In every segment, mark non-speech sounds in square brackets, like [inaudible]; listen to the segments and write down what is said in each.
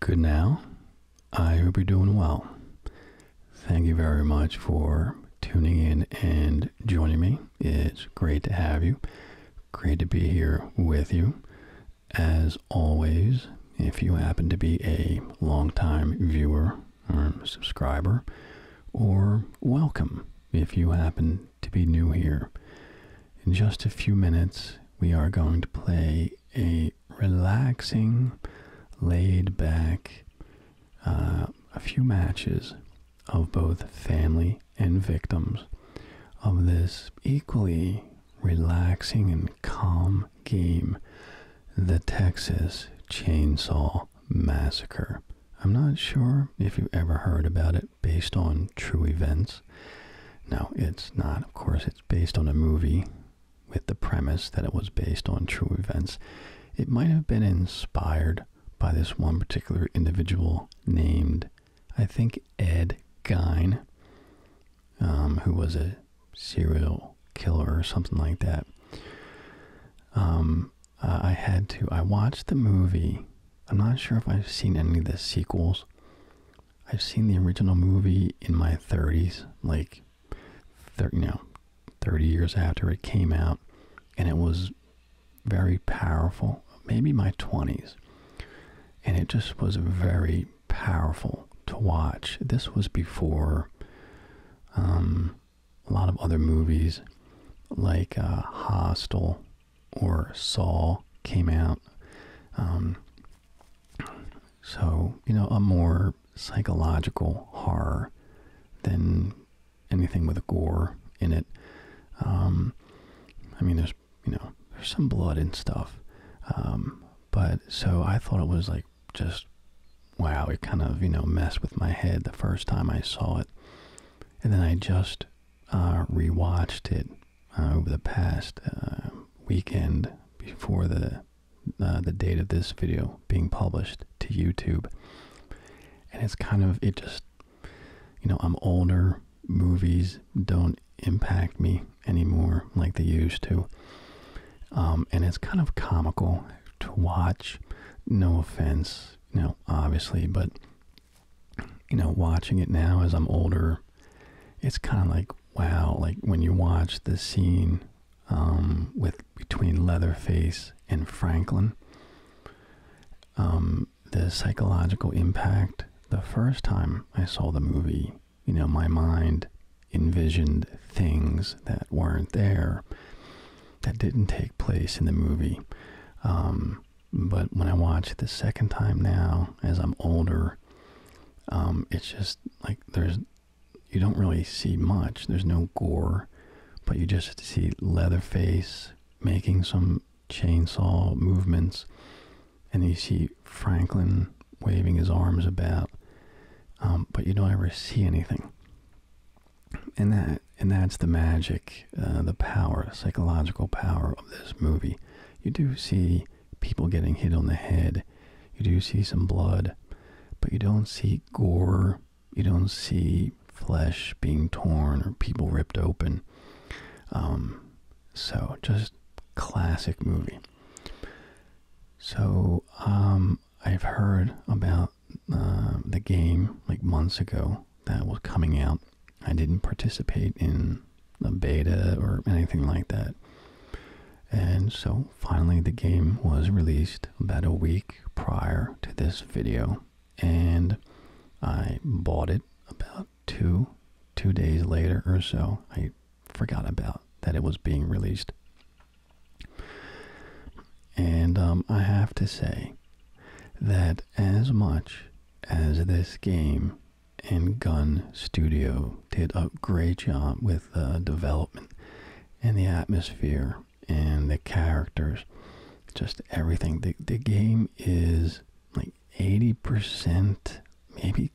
Good now. I hope you're doing well. Thank you very much for tuning in and joining me. It's great to have you. Great to be here with you. As always, if you happen to be a long-time viewer or um, subscriber, or welcome if you happen to be new here. In just a few minutes, we are going to play a relaxing, laid back, uh, a few matches of both family and victims of this equally relaxing and calm game, the Texas Chainsaw Massacre. I'm not sure if you have ever heard about it based on true events. Now, it's not, of course, it's based on a movie with the premise that it was based on true events. It might have been inspired by this one particular individual named, I think, Ed Gein, um, who was a serial killer or something like that. Um, uh, I had to, I watched the movie. I'm not sure if I've seen any of the sequels, I've seen the original movie in my 30s, like 30, you know, 30 years after it came out, and it was very powerful. Maybe my 20s, and it just was very powerful to watch. This was before um, a lot of other movies like uh, Hostel or Saw came out. Um, so, you know, a more psychological horror than anything with gore in it. Um, I mean, there's, you know, there's some blood and stuff. Um, but so I thought it was like just, wow, it kind of, you know, messed with my head the first time I saw it. And then I just uh, rewatched it uh, over the past uh, weekend before the uh, the date of this video being published to YouTube, and it's kind of it just you know I'm older, movies don't impact me anymore like they used to, um, and it's kind of comical to watch. No offense, you know, obviously, but you know, watching it now as I'm older, it's kind of like wow, like when you watch the scene um, with between Leatherface and Franklin, um, the psychological impact. The first time I saw the movie, you know, my mind envisioned things that weren't there, that didn't take place in the movie. Um, but when I watch it the second time now, as I'm older, um, it's just like there's you don't really see much. There's no gore, but you just see Leatherface making some chainsaw movements, and you see Franklin waving his arms about, um, but you don't ever see anything. And that and that's the magic, uh, the power, the psychological power of this movie. You do see people getting hit on the head. You do see some blood, but you don't see gore. You don't see flesh being torn or people ripped open. Um, so just classic movie. So um, I've heard about uh, the game like months ago that was coming out. I didn't participate in a beta or anything like that. And so finally the game was released about a week prior to this video and I bought it about two two days later or so. I forgot about that it was being released. And um, I have to say that as much as this game and Gun Studio did a great job with the development and the atmosphere and the characters, just everything. The, the game is like 80%, maybe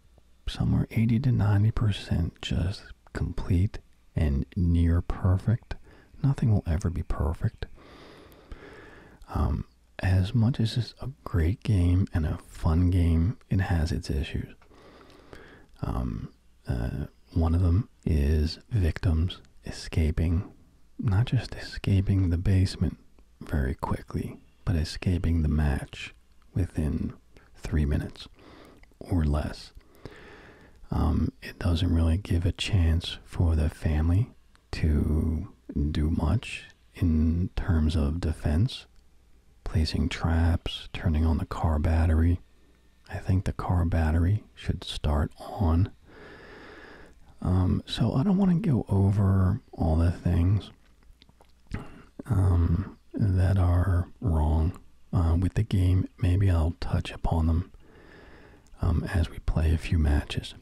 somewhere 80 to 90% just complete and near perfect. Nothing will ever be perfect. Um, as much as it's a great game and a fun game, it has its issues. Um, uh, one of them is victims escaping, not just escaping the basement very quickly, but escaping the match within three minutes or less. Um, it doesn't really give a chance for the family to do much in terms of defense, placing traps, turning on the car battery. I think the car battery should start on. Um, so I don't want to go over all the things um, that are wrong uh, with the game. Maybe I'll touch upon them um, as we play a few matches.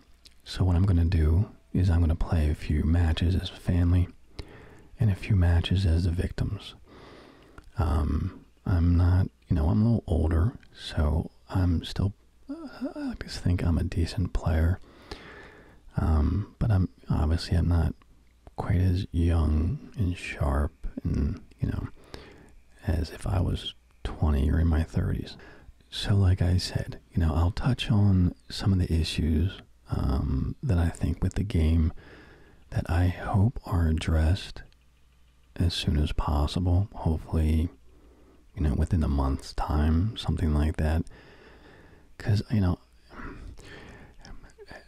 So what I'm going to do is I'm going to play a few matches as family and a few matches as the victims. Um, I'm not, you know, I'm a little older, so I'm still, I just think I'm a decent player. Um, but I'm obviously I'm not quite as young and sharp and you know as if I was 20 or in my 30s. So like I said, you know, I'll touch on some of the issues um, that I think with the game that I hope are addressed as soon as possible. Hopefully, you know, within a month's time, something like that. Because, you know,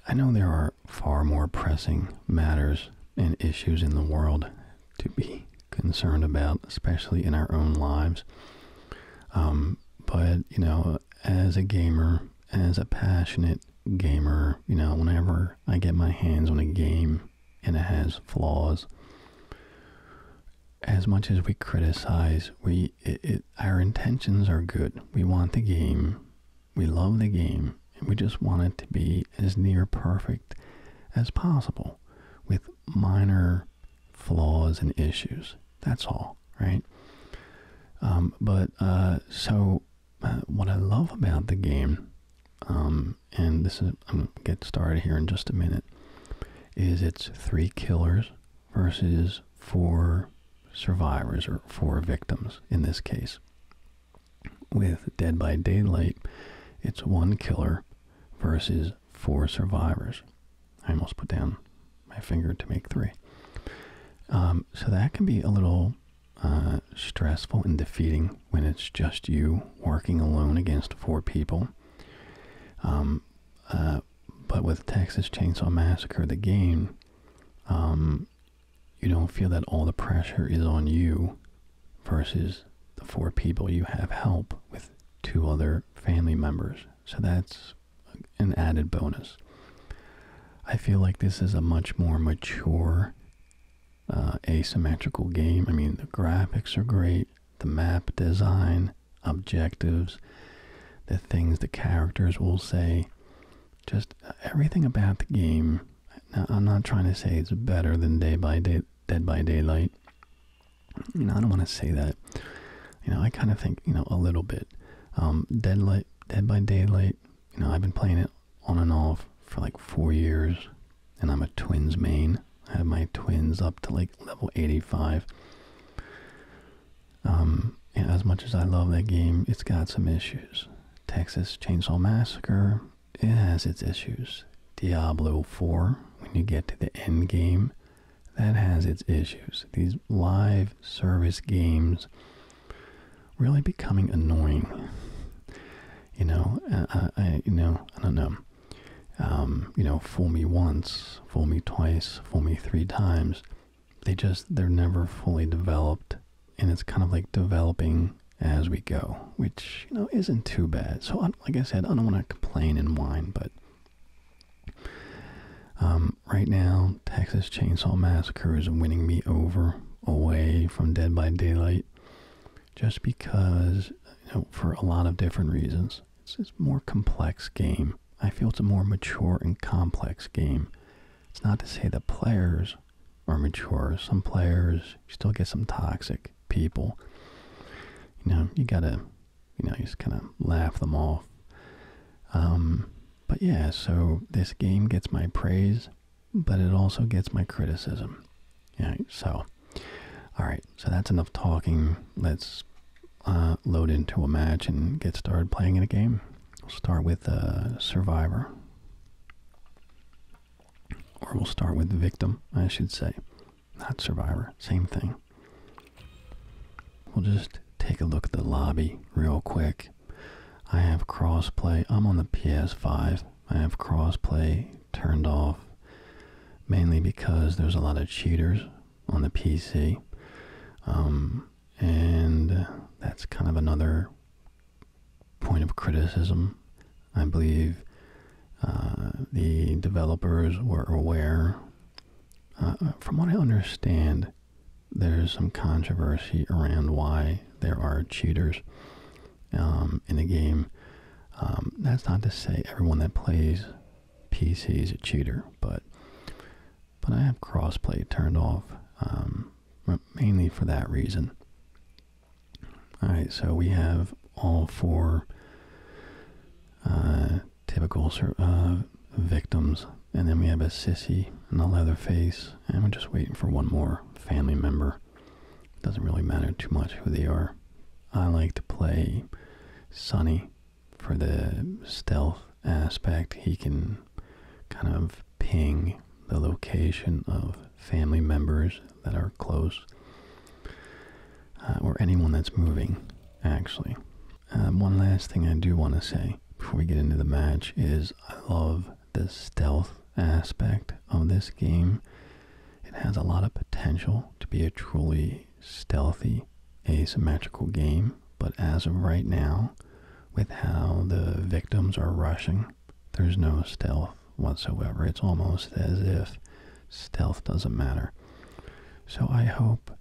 I know there are far more pressing matters and issues in the world to be concerned about, especially in our own lives. Um, but, you know, as a gamer, as a passionate gamer, you know, whenever I get my hands on a game and it has flaws, as much as we criticize, we it, our intentions are good. We want the game, we love the game, and we just want it to be as near perfect as possible with minor flaws and issues. That's all, right? Um, but uh, so uh, what I love about the game, um, and this is I'm gonna get started here in just a minute, is it's three killers versus four survivors or four victims in this case. With Dead by Daylight, it's one killer versus four survivors. I almost put down my finger to make three. Um, so that can be a little uh, stressful and defeating when it's just you working alone against four people. Um, uh, but with Texas Chainsaw Massacre, the game, um, you don't feel that all the pressure is on you versus the four people you have help with two other family members. So that's an added bonus. I feel like this is a much more mature uh, asymmetrical game. I mean, the graphics are great, the map design, objectives, the things the characters will say, just uh, everything about the game. Now, I'm not trying to say it's better than Day by Day, Dead by Daylight. You know, I don't want to say that. You know, I kind of think you know a little bit. Um, Deadlight, Dead by Daylight, you know, I've been playing it on and off for like four years, and I'm a twins main. I have my twins up to like level 85. Um, and as much as I love that game, it's got some issues. Texas Chainsaw Massacre, it has its issues. Diablo 4, when you get to the end game, that has its issues. These live service games really becoming annoying. You know, uh, uh, uh, you know, I don't know. Um, you know, fool me once, fool me twice, fool me three times. They just they're never fully developed, and it's kind of like developing as we go, which you know isn't too bad. So, like I said, I don't want to complain and whine, but um, right now, Texas Chainsaw Massacre is winning me over away from Dead by Daylight just because, you know, for a lot of different reasons. It's, it's a more complex game. I feel it's a more mature and complex game. It's not to say the players are mature. Some players, still get some toxic people. You know, you gotta, you know, you just kind of laugh them off. Um, but yeah, so this game gets my praise, but it also gets my criticism. Yeah, so, alright, so that's enough talking. Let's uh, load into a match and get started playing in a game. We'll start with uh, Survivor. Or we'll start with the Victim, I should say. Not Survivor, same thing. We'll just take a look at the lobby real quick. I have crossplay. I'm on the PS5. I have crossplay turned off mainly because there's a lot of cheaters on the PC. Um, and that's kind of another point of criticism. I believe uh, the developers were aware. Uh, from what I understand, there's some controversy around why there are cheaters um, in the game. Um, that's not to say everyone that plays PC is a cheater, but but I have crossplay turned off um, mainly for that reason. All right, so we have all four uh, typical uh, victims. And then we have a sissy and a leatherface. And we're just waiting for one more family member. Doesn't really matter too much who they are. I like to play Sonny for the stealth aspect. He can kind of ping the location of family members that are close uh, or anyone that's moving, actually. Um, one last thing I do want to say before we get into the match is I love the stealth aspect of this game. It has a lot of potential to be a truly stealthy, asymmetrical game, but as of right now, with how the victims are rushing, there's no stealth whatsoever. It's almost as if stealth doesn't matter. So I hope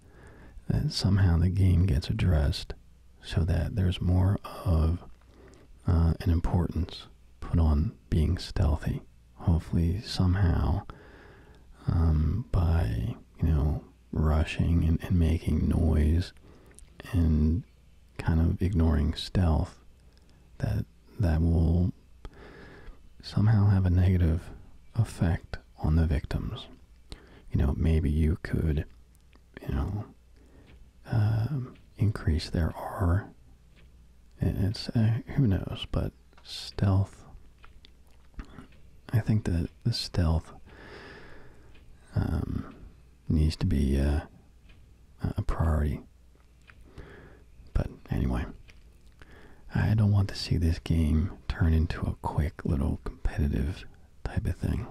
that somehow the game gets addressed so that there's more of uh, an importance put on being stealthy. Hopefully, somehow, um, by you know rushing and, and making noise and kind of ignoring stealth, that that will somehow have a negative effect on the victims. You know, maybe you could you know um, increase there are. It's uh, who knows, but stealth. I think that the stealth um, needs to be uh, a priority. But anyway, I don't want to see this game turn into a quick little competitive type of thing.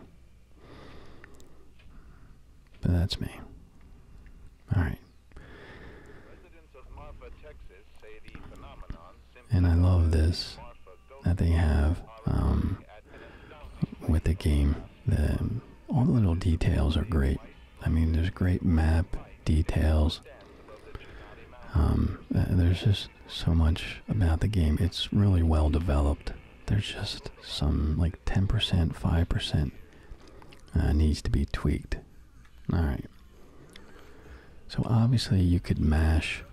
But that's me. All right. And I love this that they have um, with the game. all the little details are great. I mean, there's great map details. Um, uh, there's just so much about the game. It's really well developed there's just some like 10%, 5% uh, needs to be tweaked. All right. So obviously you could mash,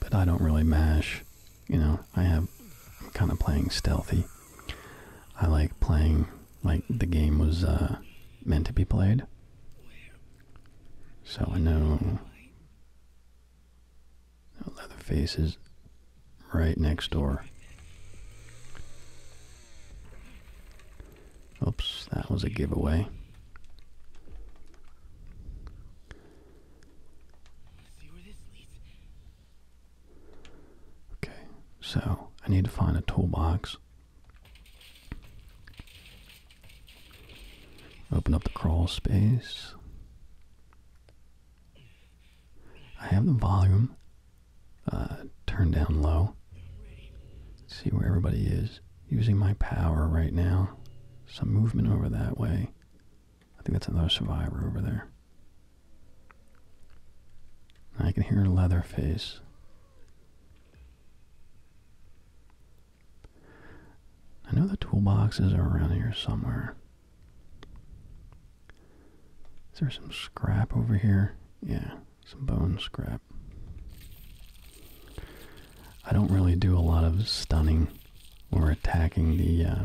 but I don't really mash. You know, I have, I'm kind of playing stealthy. I like playing like the game was uh, meant to be played. So I know now Leatherface is right next door. Oops, that was a giveaway. Okay, so I need to find a toolbox. Open up the crawl space. I have the volume uh, turned down low. see where everybody is. Using my power right now. Some movement over that way. I think that's another survivor over there. I can hear Leatherface. I know the toolboxes are around here somewhere. Is there some scrap over here? Yeah, some bone scrap. I don't really do a lot of stunning or attacking the uh,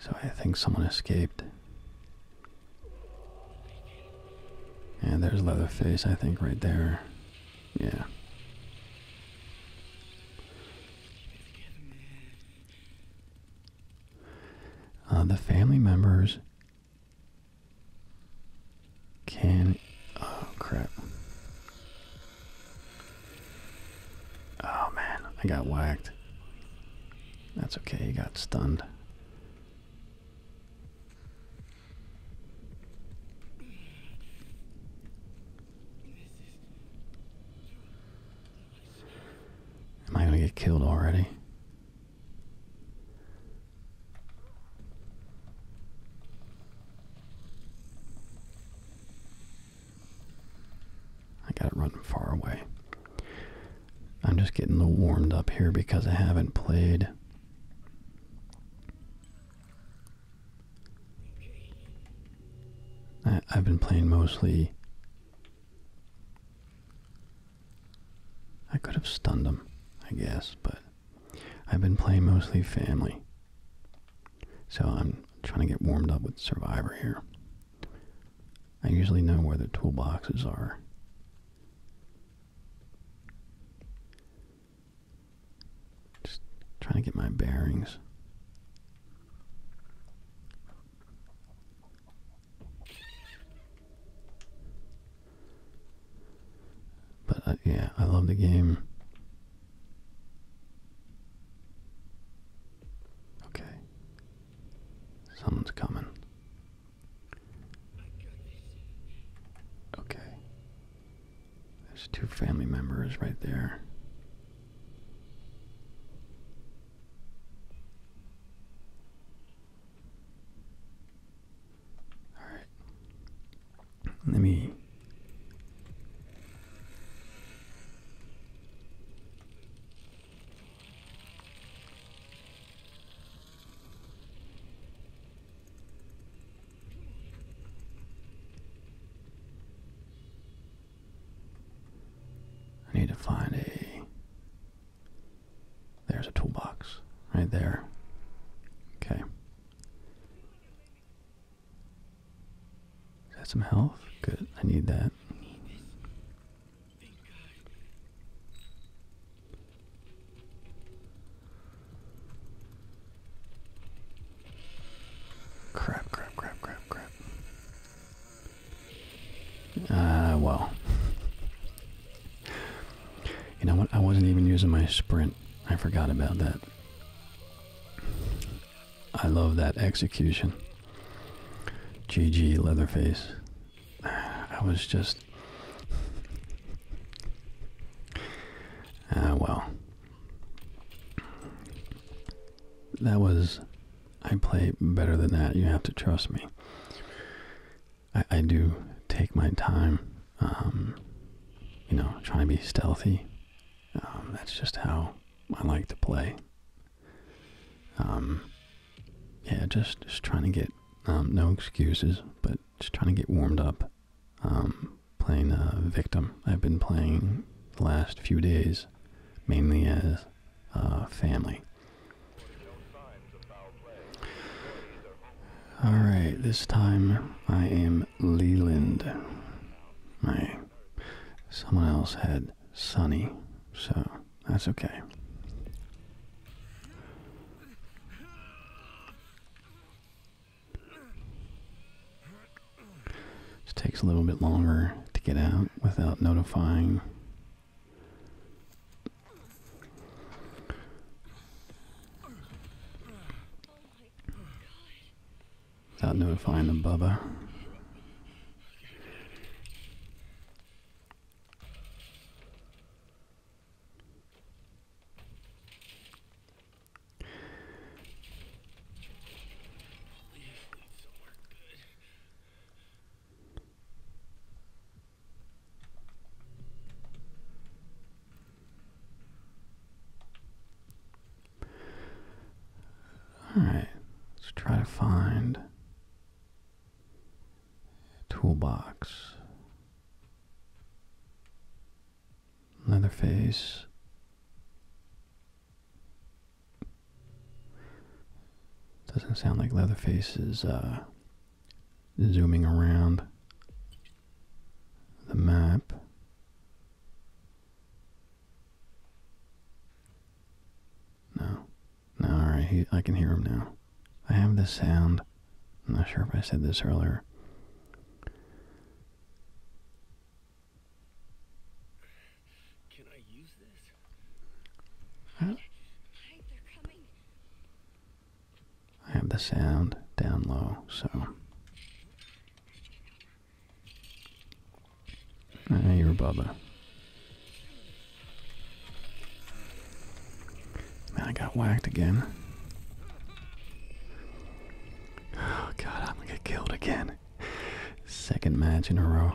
So I think someone escaped. And there's Leatherface, I think, right there. Yeah. Uh, the family members can oh crap. Oh man, I got whacked. That's okay, you got stunned. Am I gonna get killed already? I got it running far away. I'm just getting a little warmed up here because I haven't played I, have been playing mostly I could have stunned him, I guess, but I've been playing mostly family. So I'm trying to get warmed up with Survivor here. I usually know where the toolboxes are. Just trying to get my bearings. But uh, yeah, I love the game. Okay. Someone's coming. Okay. There's two family members right there. All right. Let me. I need to find a. There's a toolbox right there. Okay. Is some health? Good, I need that. Crap, crap, crap, crap, crap. Ah, well. you know what? I wasn't even using my sprint. I forgot about that. I love that execution. GG Leatherface. I was just. Ah, well. That was. I play better than that. You have to trust me. I do take my time um, you know, trying to be stealthy. Um, that's just how I like to play. Um, yeah, just, just trying to get, um, no excuses, but just trying to get warmed up. playing uh, Victim. I've been playing the last few days mainly as uh, family. Alright, this time I am Leland. Hey, someone else had Sunny, so that's okay. Just takes a little bit longer to get out without notifying without notifying the Bubba. Alright, let's try to find toolbox. Leatherface. Doesn't sound like Leatherface is uh, zooming around the map. No. No, alright, I can hear him now. I have the sound. I'm not sure if I said this earlier. Can I use this? I have the sound down low, so Ah, you're a bubba. Man, I got whacked again. Oh god, I'm gonna get killed again. Second match in a row.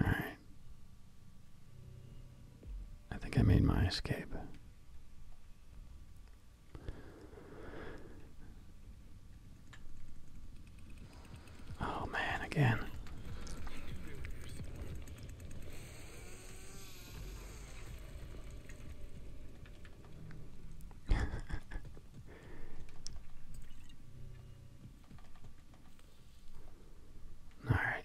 Alright. I think I made my escape. Oh man, again. [laughs] All right.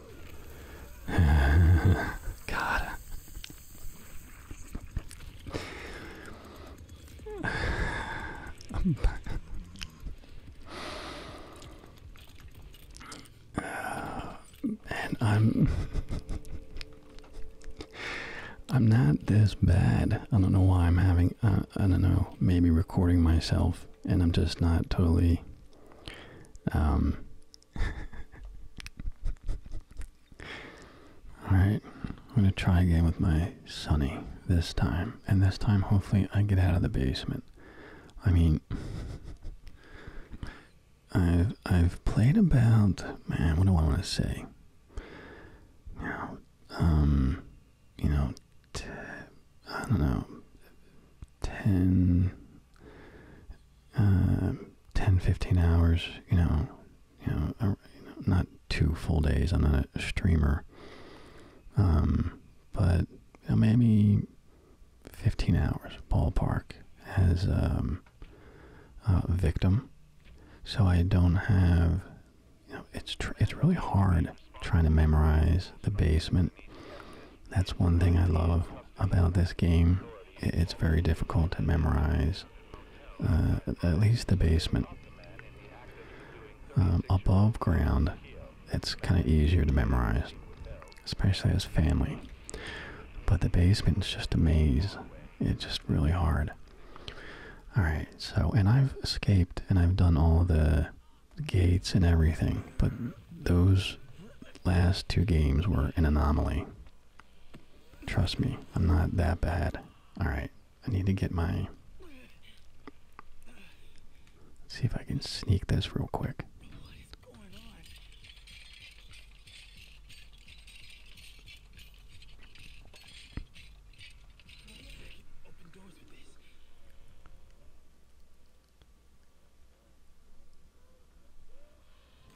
[laughs] God. [sighs] and I'm I'm not this bad. I don't know why I'm having uh, I don't know, maybe recording myself and I'm just not totally um [laughs] Alright, I'm gonna try again with my sonny this time. And this time, hopefully, I get out of the basement. I mean, [laughs] I've, I've played about, man, what do I want to say? Now, um, you know, t I don't know, 10, uh, 10, 15 hours, you know, you know, uh, not two full days. I'm not a streamer, um, but maybe 15 hours ballpark as um, a victim. So I don't have, you know, it's it's really hard trying to memorize the basement. That's one thing I love about this game it's very difficult to memorize, uh, at least the basement. Um, above ground, it's kind of easier to memorize, especially as family. But the basement is just a maze. It's just really hard. Alright, so, and I've escaped and I've done all the gates and everything, but those last two games were an anomaly. Trust me, I'm not that bad. Alright, I need to get my. Let's see if I can sneak this real quick.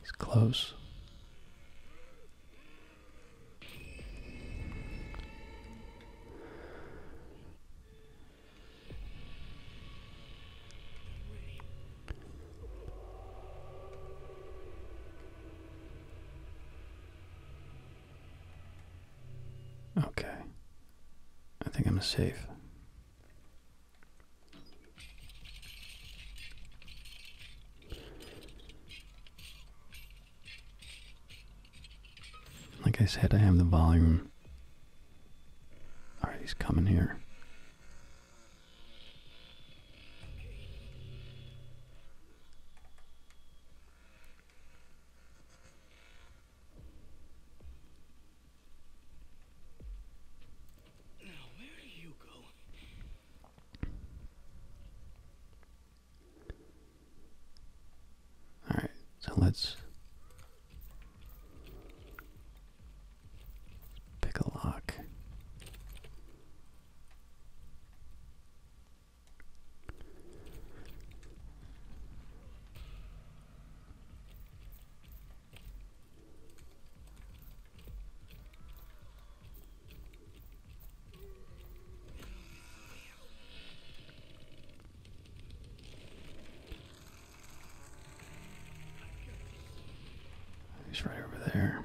He's close. Okay. I think I'm safe. Like I said, I have the volume. Alright, he's coming here. Now, where are you going? Alright, so let's pick a lock. He's right over there.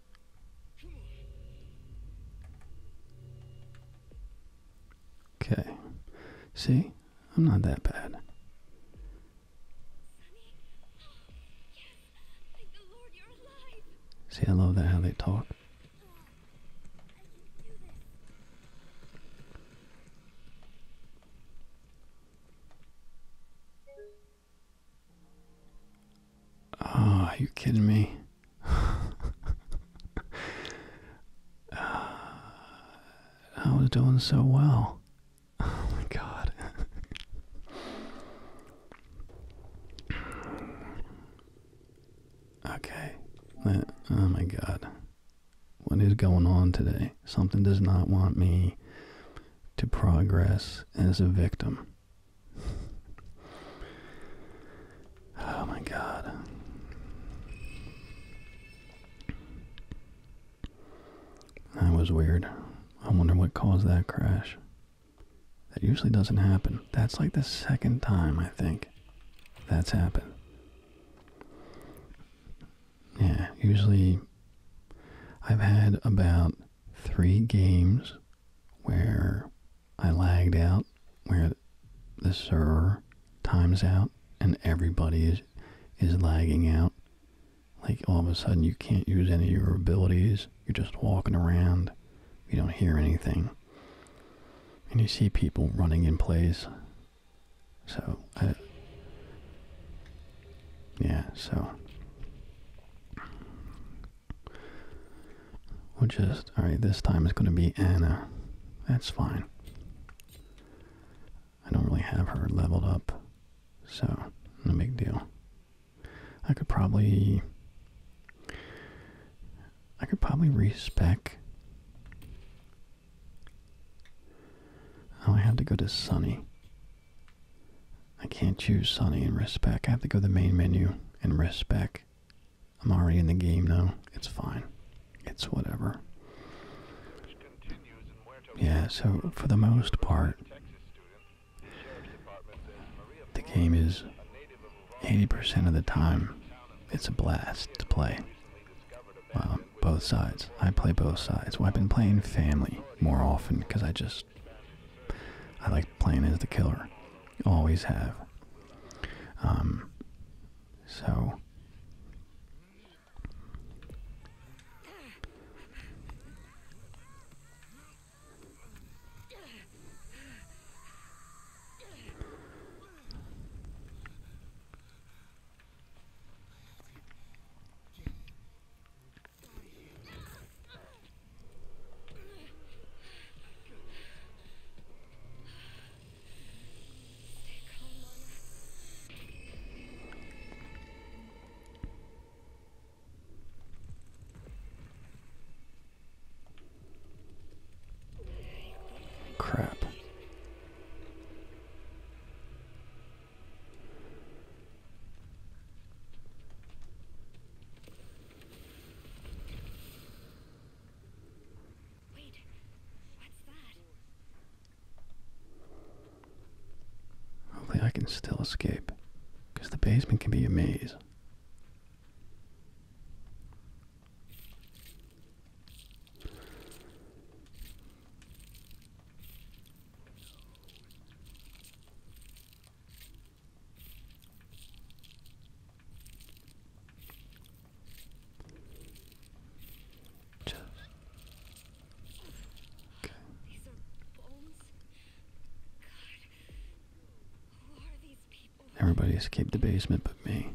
Okay. See? I'm not that bad. See, I love that how they talk are ah, you kidding me? I ah, was doing so well. Oh my god. okay. oh my god. What is going on today? Something does not want me to progress as a victim oh my god. That was weird. I wonder what caused that crash. That usually doesn't happen. That's like the second time, I think, that's happened. Yeah, usually I've had about three games where I lagged out, where the server times out and everybody is, is lagging out. Like all of a sudden you can't use any of your abilities. You're just walking around. You don't hear anything. And you see people running in place. So, yeah, so We'll just, alright, this time it's going to be Anna. That's fine. I don't really have her leveled up, so no big deal. I could probably, I could probably respec. Oh, I have to go to Sunny. I can't choose Sunny and Risk Back. I have to go to the main menu and Risk Back. I'm already in the game now. It's fine. It's whatever. Yeah, so for the most part, the game is 80% of the time, it's a blast to play. both sides. I play both sides. Well, I've been playing family more often because I just I like playing as the killer. Always have. Um, so. Crap. Hopefully I can still escape, because the basement can be a maze. Just okay. These are bones. God, who are these people? Everybody escaped the basement but me.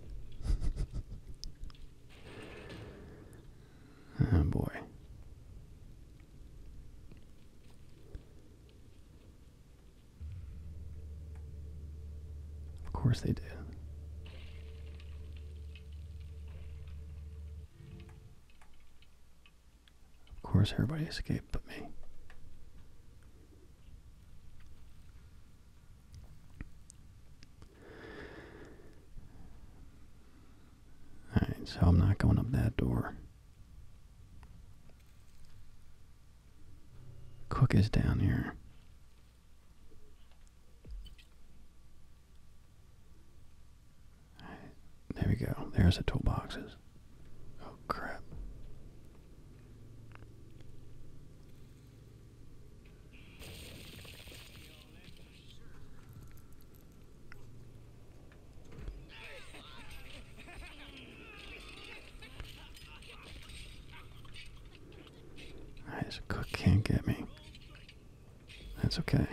[laughs] oh boy. Of course they did. Of course everybody escaped but me. Alright, so I'm not going up that door. Cook is down here. There we go. There's the toolboxes. Oh, crap. Alright, so cook can't get me. That's okay.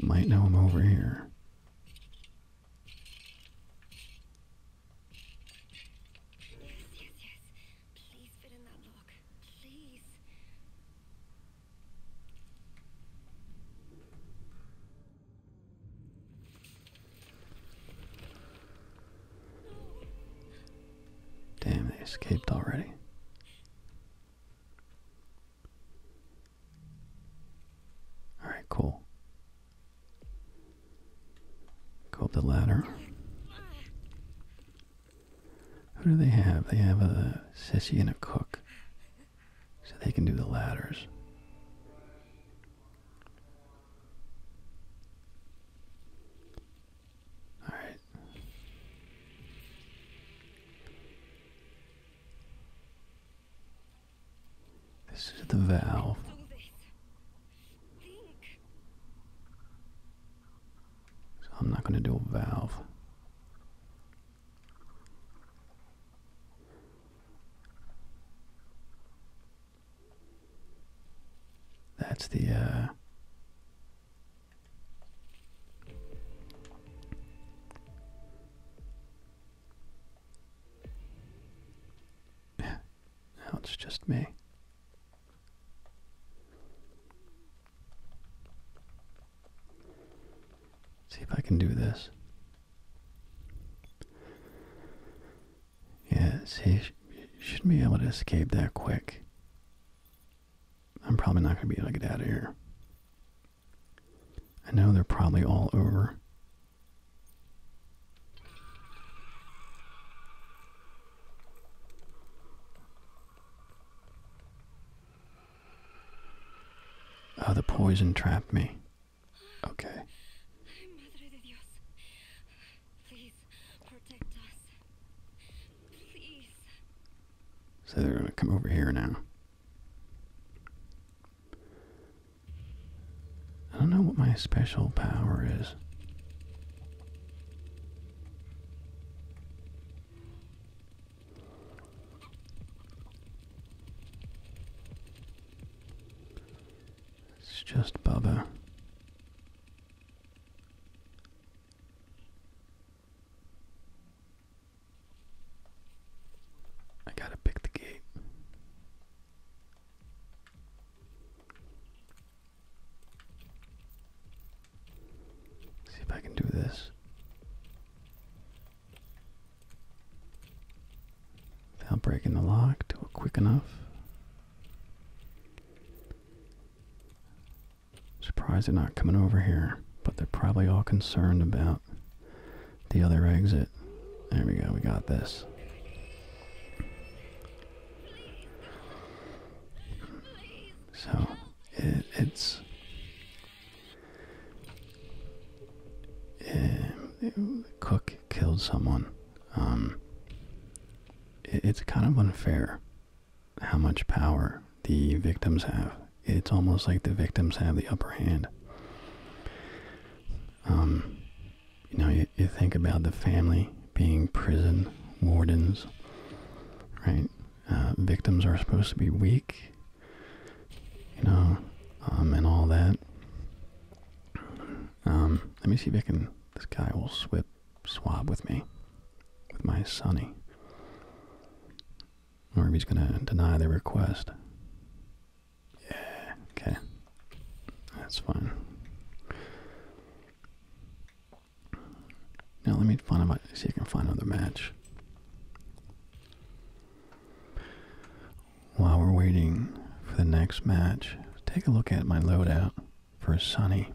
Might know I'm over here. Yes, yes, yes. Please fit in that lock. Please. Damn, they escaped already. Alright, cool. Go up the ladder. Who do they have? They have a sissy and a cook so they can do the ladders. All right. This is the valve. So I'm not going to do a valve. That's the uh [laughs] now it's just me. See if I can do this. Yeah, see, sh shouldn't be able to escape that quick. I'm probably not going to be able to get out of here. I know they're probably all over. Oh, the poison trapped me. Okay. So they're going to come over here now. I don't know what my special power is. It's just Bubba. gotta pick the gate. See if I can do this. Without breaking the lock do it quick enough. Surprised they're not coming over here, but they're probably all concerned about the other exit. There we go, we got this. So it's um, Cook killed someone. Um, it's kind of unfair how much power the victims have. It's almost like the victims have the upper hand. Um, you know, you, think about the family being prison wardens, right? Uh, victims are supposed to be weak you know, um, and all that. Um, let me see if I can. This guy will swip swab with me, with my sonny, or if he's gonna deny the request. Yeah. Okay. That's fine. Now let me find a match. See if I can find another match. While we're waiting for the next match, take a look at my loadout for Sunny.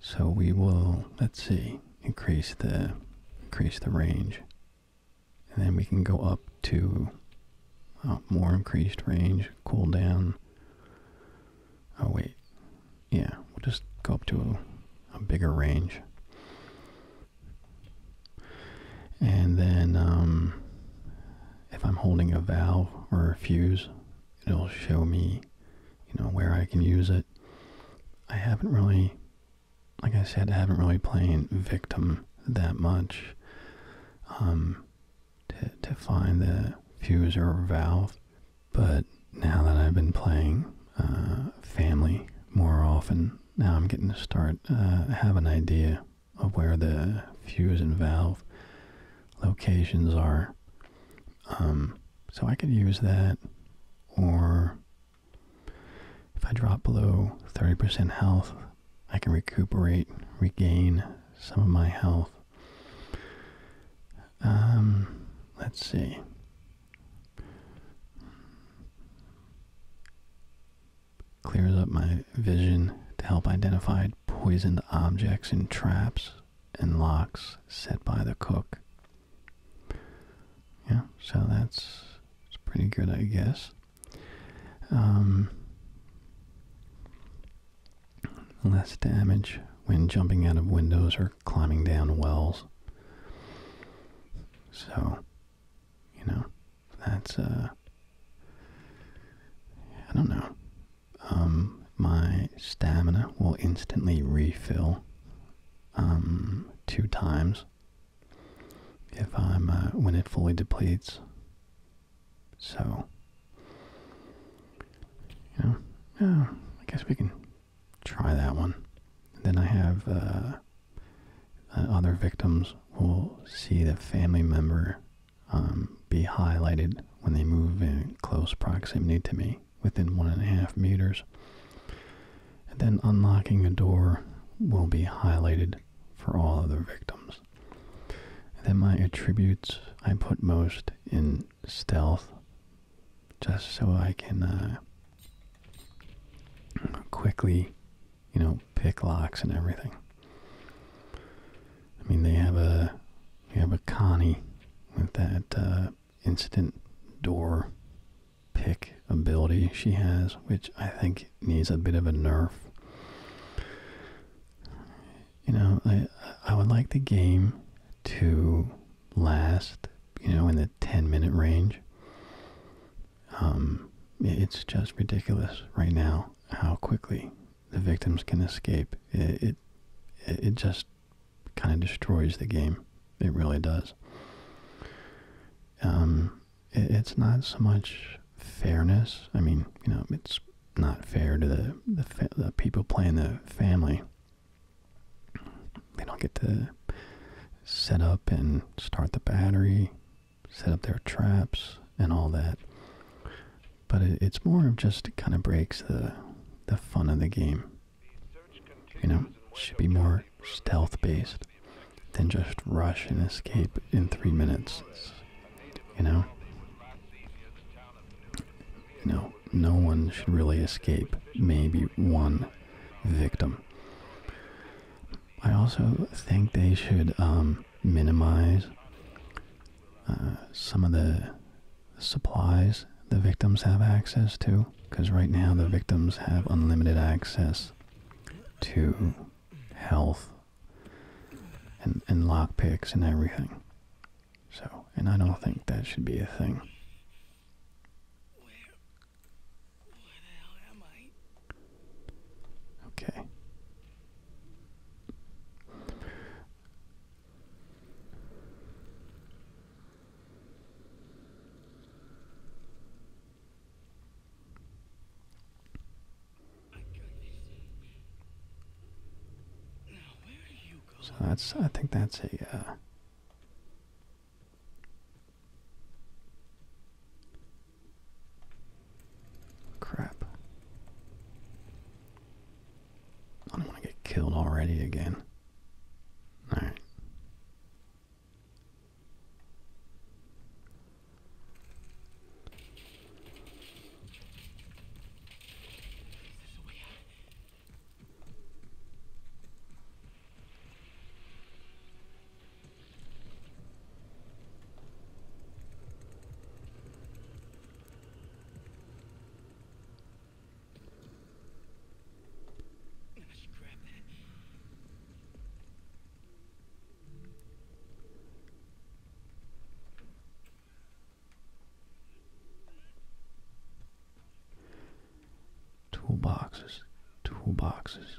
So we will, let's see, increase the increase the range. And then we can go up to oh, more increased range, cooldown. Oh wait. Yeah, we'll just go up to a bigger range. And then um, if I'm holding a valve or a fuse, it'll show me, you know, where I can use it. I haven't really, like I said, I haven't really played victim that much um, to, find the fuse or valve. But now that I've been playing uh, family more often, now I'm getting to start uh, have an idea of where the fuse and valve locations are. Um, so I could use that, or if I drop below 30% health, I can recuperate, regain some of my health. Um, let's see. Clears up my vision to help identify poisoned objects and traps and locks set by the cook. Yeah, so that's it's pretty good, I guess. Um, less damage when jumping out of windows or climbing down wells. So you know, that's uh, I don't know. Um, my stamina will instantly refill um two times if I'm uh, when it fully depletes. So, you know, I guess we can try that one. And then I have uh, uh, other victims will see the family member um, be highlighted when they move in close proximity to me within one and a half meters. And then unlocking a door will be highlighted for all other victims. then my attributes I put most in stealth just so I can uh, quickly you know, pick locks and everything. I mean, they have a they have a Connie with that uh, instant door pick ability she has, which I think needs a bit of a nerf. You know, I I would like the game to last, you know, in the 10 minute range. Um, it's just ridiculous right now how quickly the victims can escape. It it, just kind of destroys the game. It really does. Um, it's not so much fairness. I mean, you know, it's not fair to the, the people playing the family. They don't get to set up and start the battery, set up their traps and all that. But it's more of just kind of breaks the the fun of the game. You know, should be more stealth based than just rush and escape in three minutes. You know, you know, no one should really escape. Maybe one victim. I also think they should um, minimize uh, some of the supplies the victims have access to, because right now the victims have unlimited access to health and, and lockpicks and everything. So, and I don't think that should be a thing. I? Okay. So that's I think that's a uh, Crap. I don't want to get killed already again. Alright. Toolboxes, toolboxes,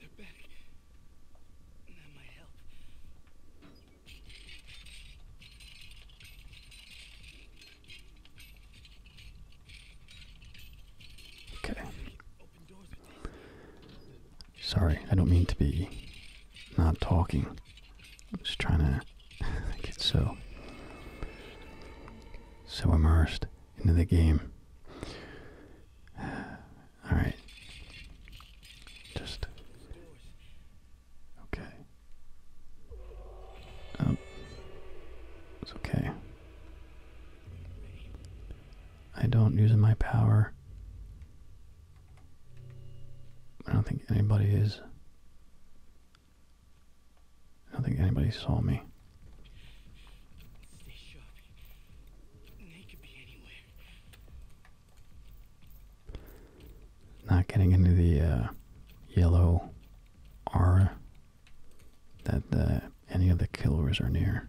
They're back. That might help. Okay. Sorry, I don't mean to be not talking. I'm just trying to [laughs] get so so immersed into the game. All right. Just okay. Um, it's okay. I don't use my power. I don't think anybody is. I don't think anybody saw me. Not getting into the uh, yellow aura that uh, any of the killers are near.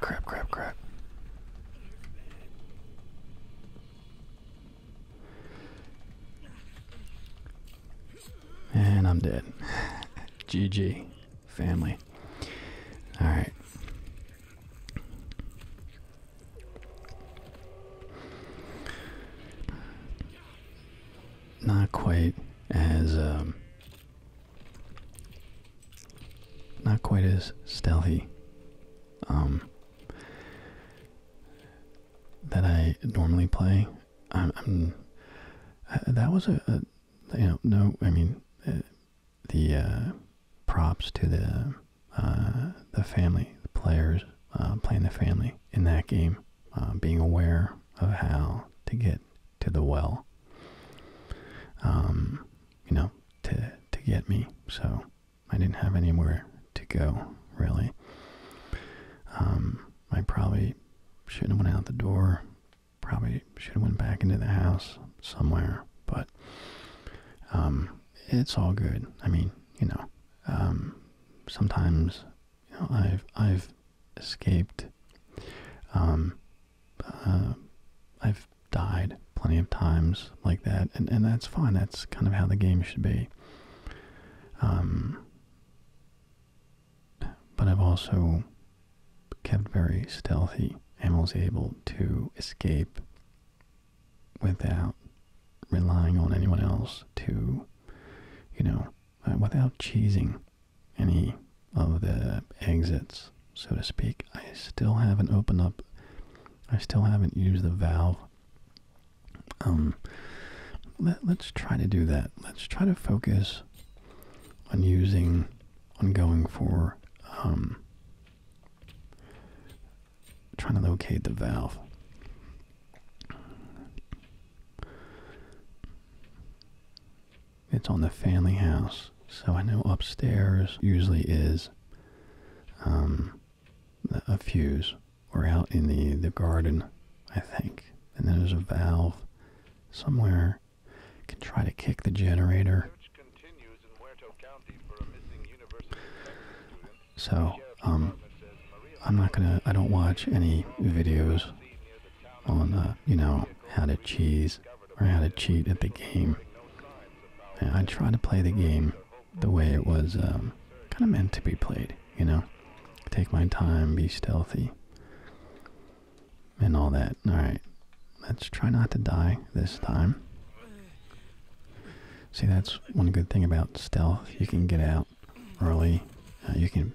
Crap, crap, crap. And I'm dead. GG. [laughs] Family. Alright. Not quite as um, not quite as stealthy um, that I normally play. I'm, uh, that was a, you know no I mean uh, the uh, props to the the family the players playing the family in that game. being aware of how to get to the well um, you know to to get me so I didn't have anywhere to go really um, I probably should have went out the door probably should have went back into the house somewhere but um, it's all good I mean you know sometimes I've I've escaped. Um, uh, I've died plenty of times like that, and and that's fine. That's kind of how the game should be. Um, but I've also kept very stealthy and was able to escape without relying on anyone else to, you know, uh, without cheating any of the exits, so to speak. I still haven't opened up, I still haven't used the valve. Um, let, let's try to do that. Let's try to focus on using, on going for, um, trying to locate the valve. It's on the family house. So I know upstairs usually is um, a fuse or out in the, the garden, I think. And then there's a valve somewhere. I can try to kick the generator. So, um, I don't watch any videos on uh, you know how to cheese or how to cheat at the game. I try to play the game the way it was um, kind of meant to be played, you know. Take my time, be stealthy, and all that. All right, let's try not to die this time. See, that's one good thing about stealth. You can get out early. Uh, you can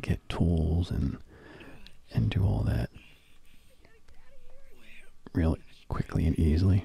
get tools and and do all that really quickly and easily.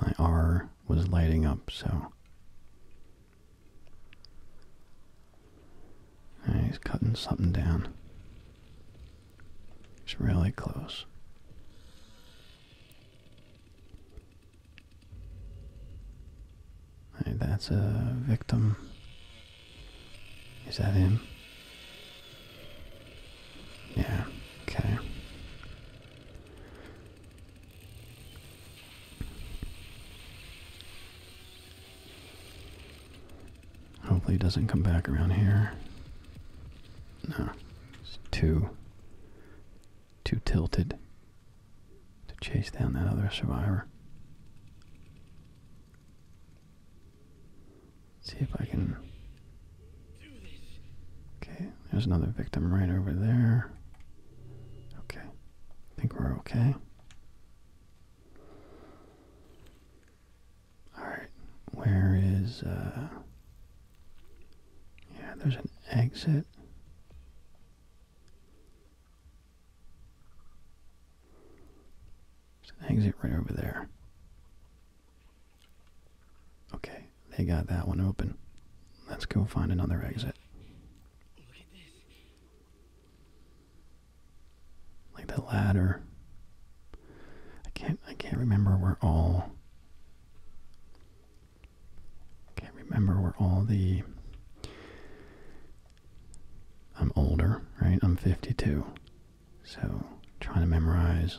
my R was lighting up, so ah, he's cutting something down. He's really close. that's a victim. Is that him? Yeah, okay. Hopefully it doesn't come back around here. No, it's too, too tilted to chase down that other survivor. see if I can Okay, there's another victim right over there. Okay, I think we're okay. Alright, where is, uh, yeah, there's an exit. There's an exit right over there. Okay, they got that one open. Let's go find another exit. Like the ladder. I can't I can't remember where all can't remember where all the I'm older, right? I'm 52. So trying to memorize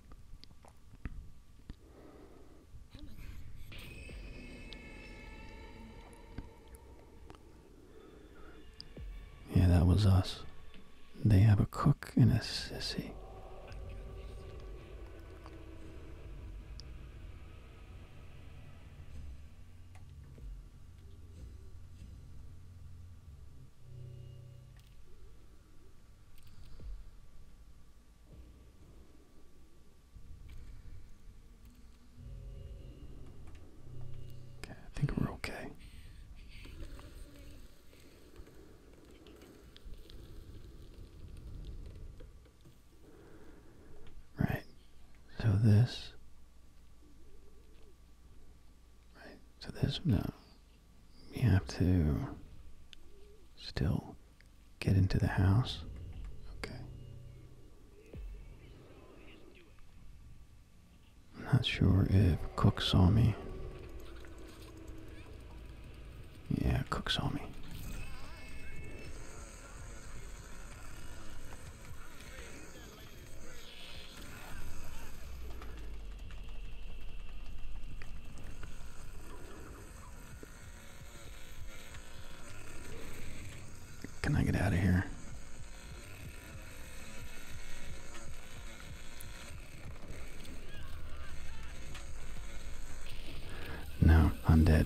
Yeah, that was us. They have a cook and a sissy. Okay, I think we're okay. Right. So this. Right. So this no you have to still get into the house. Okay. I'm not sure if Cook saw me. Yeah, Cook saw me. Can I get out of here? No, I'm dead.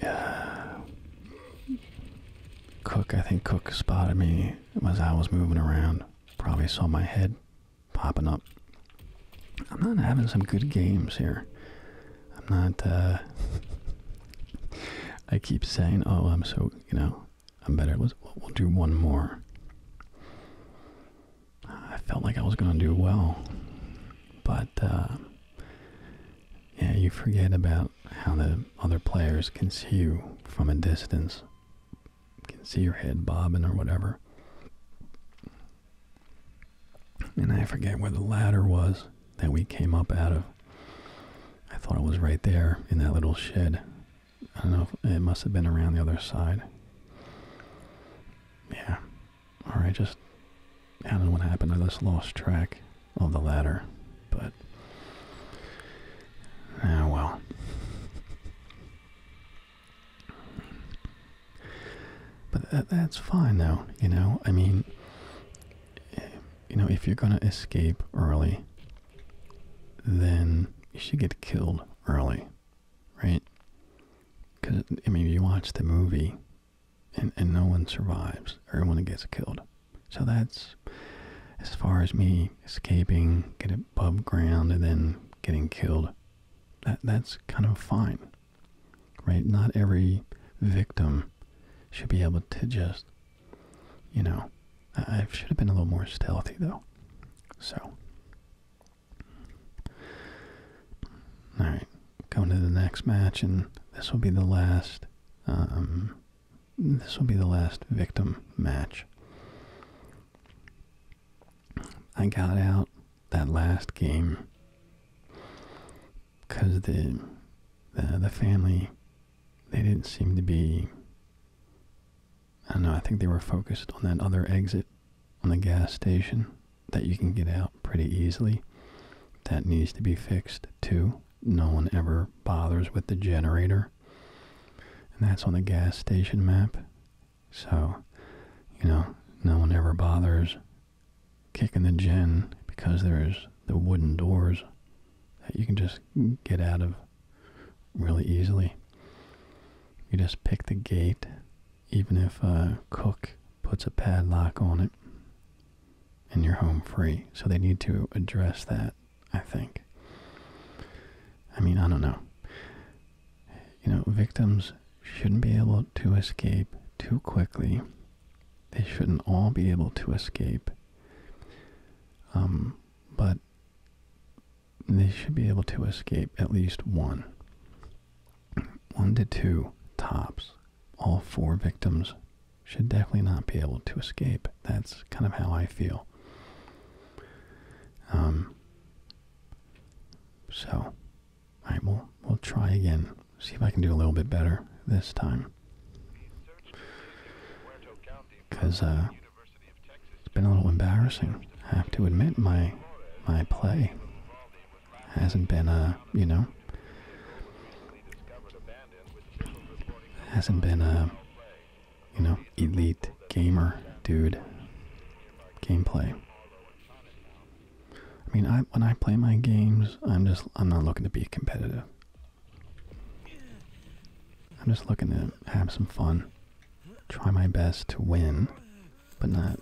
Uh, [sighs] Cook, I think Cook spotted me as I was moving around, probably saw my head popping up. I'm not having some good games here. I'm not, uh, [laughs] I keep saying, oh, I'm so, you know, I'm better. we'll do one more. I felt like I was going to do well, but, uh, yeah, you forget about how the other players can see you from a distance, can see your head bobbing or whatever. And I forget where the ladder was that we came up out of. I thought it was right there in that little shed. I don't know, if it must have been around the other side. Yeah. Alright, just, I don't know what happened. I just lost track of the ladder, but ah well. But that's fine, though. You know, I mean, you know, if you're gonna escape early, then you should get killed early, right? Because I mean, you watch the movie, and and no one survives. Everyone gets killed. So that's as far as me escaping, get above ground, and then getting killed. That that's kind of fine, right? Not every victim should be able to just, you know, I, should have been a little more stealthy though. So, all right, going to the next match, and this will be the last um, this will be the last victim match. I got out that last game because the, the family they didn't seem to be I know, I think they were focused on that other exit on the gas station that you can get out pretty easily. That needs to be fixed too no one ever bothers with the generator. And that's on the gas station map. So, you know, no one ever bothers kicking the gen because there's the wooden doors that you can just get out of really easily. You just pick the gate, even if a cook puts a padlock on it, and you're home free. So they need to address that I think. I mean, I don't know. You know, victims shouldn't be able to escape too quickly. They shouldn't all be able to escape. Um, but they should be able to escape at least one. One to two tops. All four victims should definitely not be able to escape. That's kind of how I feel. Um, so, I right, we'll, we'll try again. See if I can do a little bit better this time. Because uh, it's been a little embarrassing. I have to admit my my play hasn't been, a uh, you know, hasn't been, a. Uh, you know, elite gamer dude gameplay. I mean, I when I play my games, I'm just I'm not looking to be competitive. I'm just looking to have some fun, try my best to win, but not.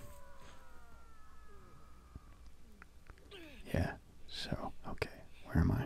Yeah. So okay, where am I?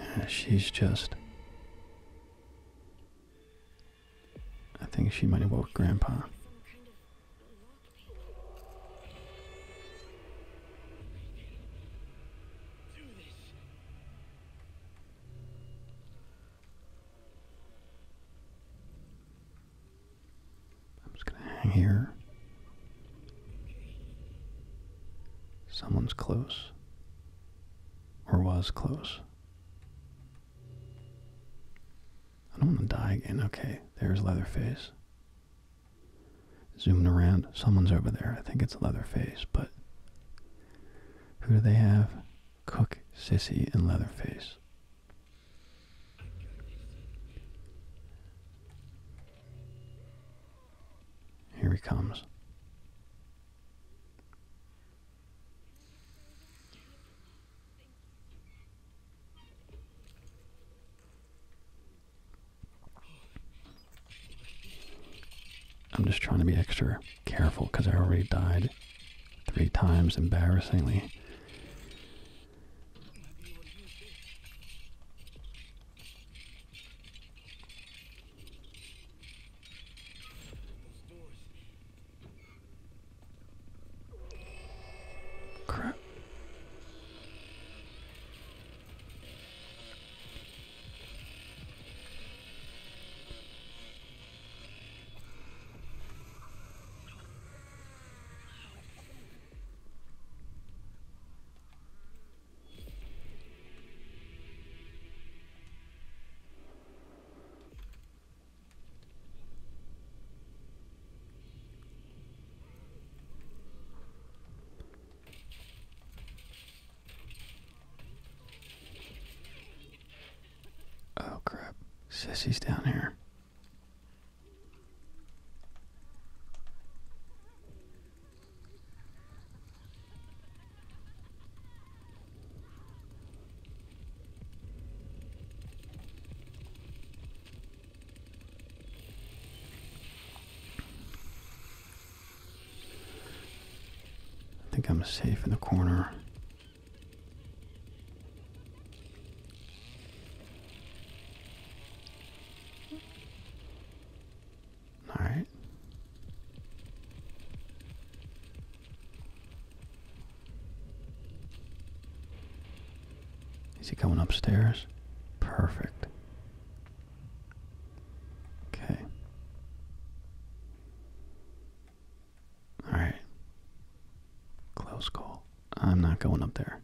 Uh, she's just. I think she might have woke Grandpa. I'm just gonna hang here Someone's close. Or was close. I don't want to die again. Okay, there's Leatherface. Zooming around. Someone's over there. I think it's Leatherface, but who do they have? Cook, Sissy, and Leatherface. Here he comes. I'm just trying to be extra careful because I already died three times embarrassingly. Crap. Oh crap. Sissy's down here. I think I'm safe in the corner. All right. Is he coming upstairs? Perfect. Okay. All right. Close call. I'm not going up there.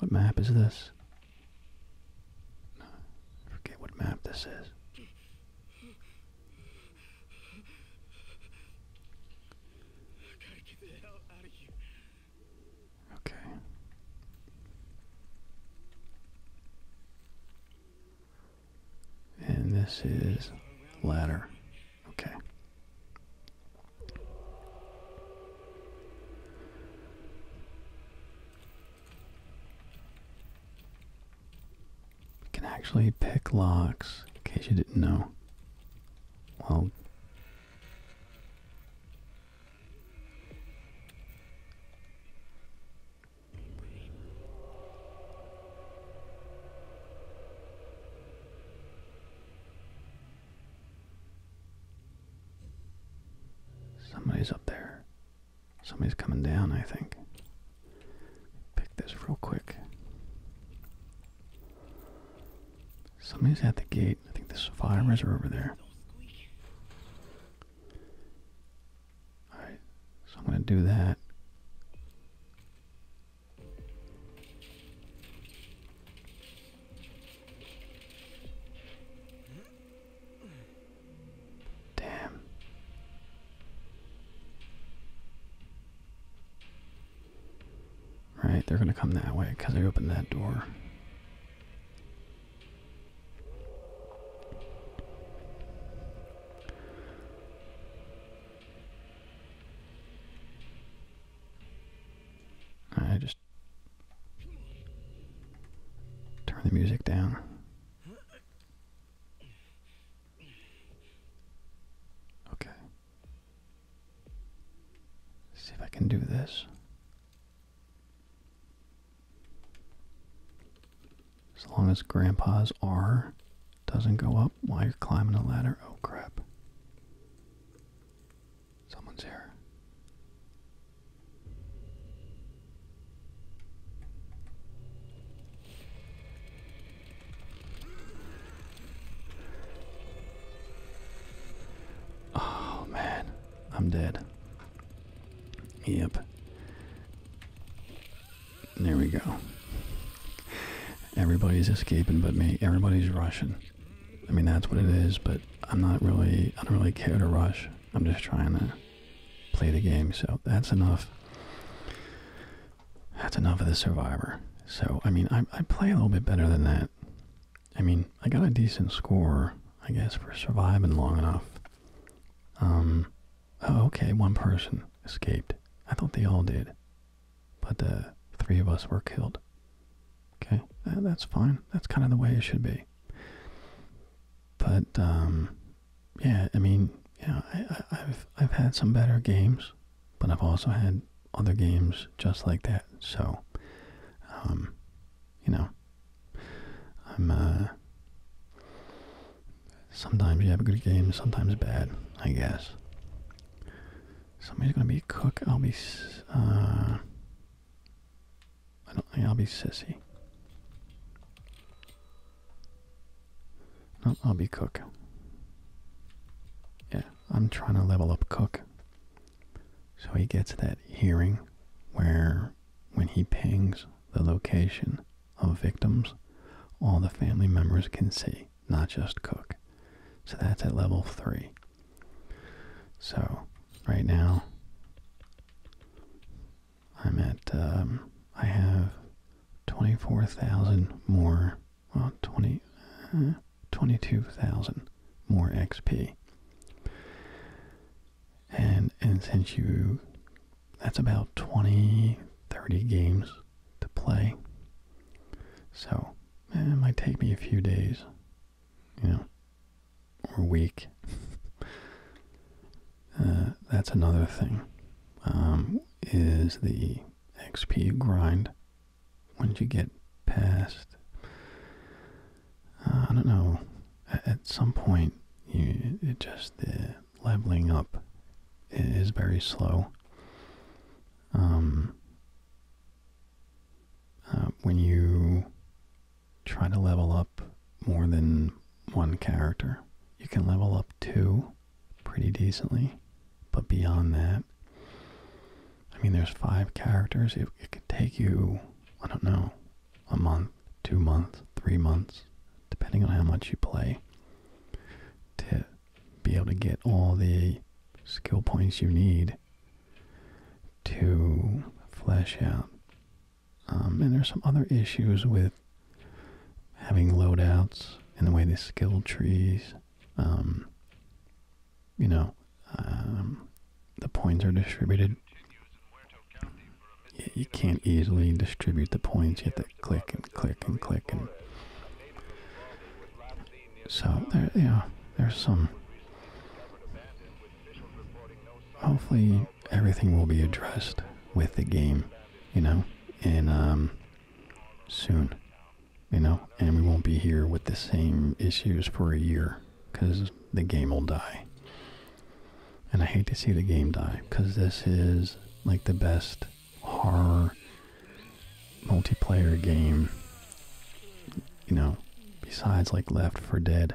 What map is this? No, forget what map this is. Okay. And this is ladder. Okay. We can actually pick locks, in case you didn't know. Well, Somebody's up there. Somebody's coming down, I think. Pick this real quick. Somebody's at the gate. I think the survivors are over there. Alright, so I'm going to do that. Damn. Right, they're gonna come that way because I opened that door turn the music down. Okay. see if I can do this. As long as Grandpa's R doesn't go up while you're climbing the ladder. Oh crap. Someone's here. Oh man, I'm dead. Yep. There we go. Everybody's escaping but me. Everybody's rushing. I mean, that's what it is, but I'm not really, I don't really care to rush. I'm just trying to play the game, so that's enough. That's enough of the Survivor. So, I mean, I, I play a little bit better than that. I mean, I got a decent score, I guess, for surviving long enough. Um, oh, okay, one person escaped. I thought they all did. But, the uh, three of us were killed. Okay, that's fine. That's kind of the way it should be. But um, yeah, I mean, yeah, I, have I've had some better games, but I've also had other games just like that. So, um, you know, I'm uh, sometimes you have a good game, sometimes bad. I guess somebody's gonna be a cook. I'll be uh, I don't think I'll be sissy. I'll be cook. Yeah, I'm trying to level up cook. So he gets that hearing where when he pings the location of victims, all the family members can see, not just cook. So that's at level 3. So right now I'm at um, I have 24,000 more well 20 uh, more XP. And and since you that's about 20 30 games to play. So it might take me a few days, you know, or weak. [laughs] Uh, that's another thing. Um, is the XP grind once you get past? Uh, I don't know. At, some point, you it just the leveling up is very slow. Um, uh, when you try to level up more than one character. You can level up two pretty decently, but beyond that, I mean, there's five characters. It, could take you, I don't know, a month, two months, three months, depending on how much you play, to be able to get all the skill points you need to flesh out. Um, and there's some other issues with having loadouts and the way they skill trees. Um, you know, um, the points are distributed. You, can't easily distribute the points. You have to click and click and click and. So there, you there's some hopefully everything will be addressed with the game, you know, and um, soon, you know, and we won't be here with the same issues for a year because the game will die. And I hate to see the game die because this is like the best horror multiplayer game, you know, besides like Left for Dead.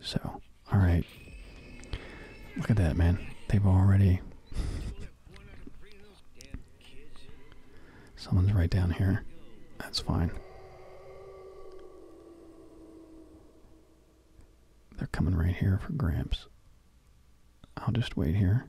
So, all right. Look at that, man. They've already. Someone's right down here. That's fine. They're coming right here for Gramps. I'll just wait here.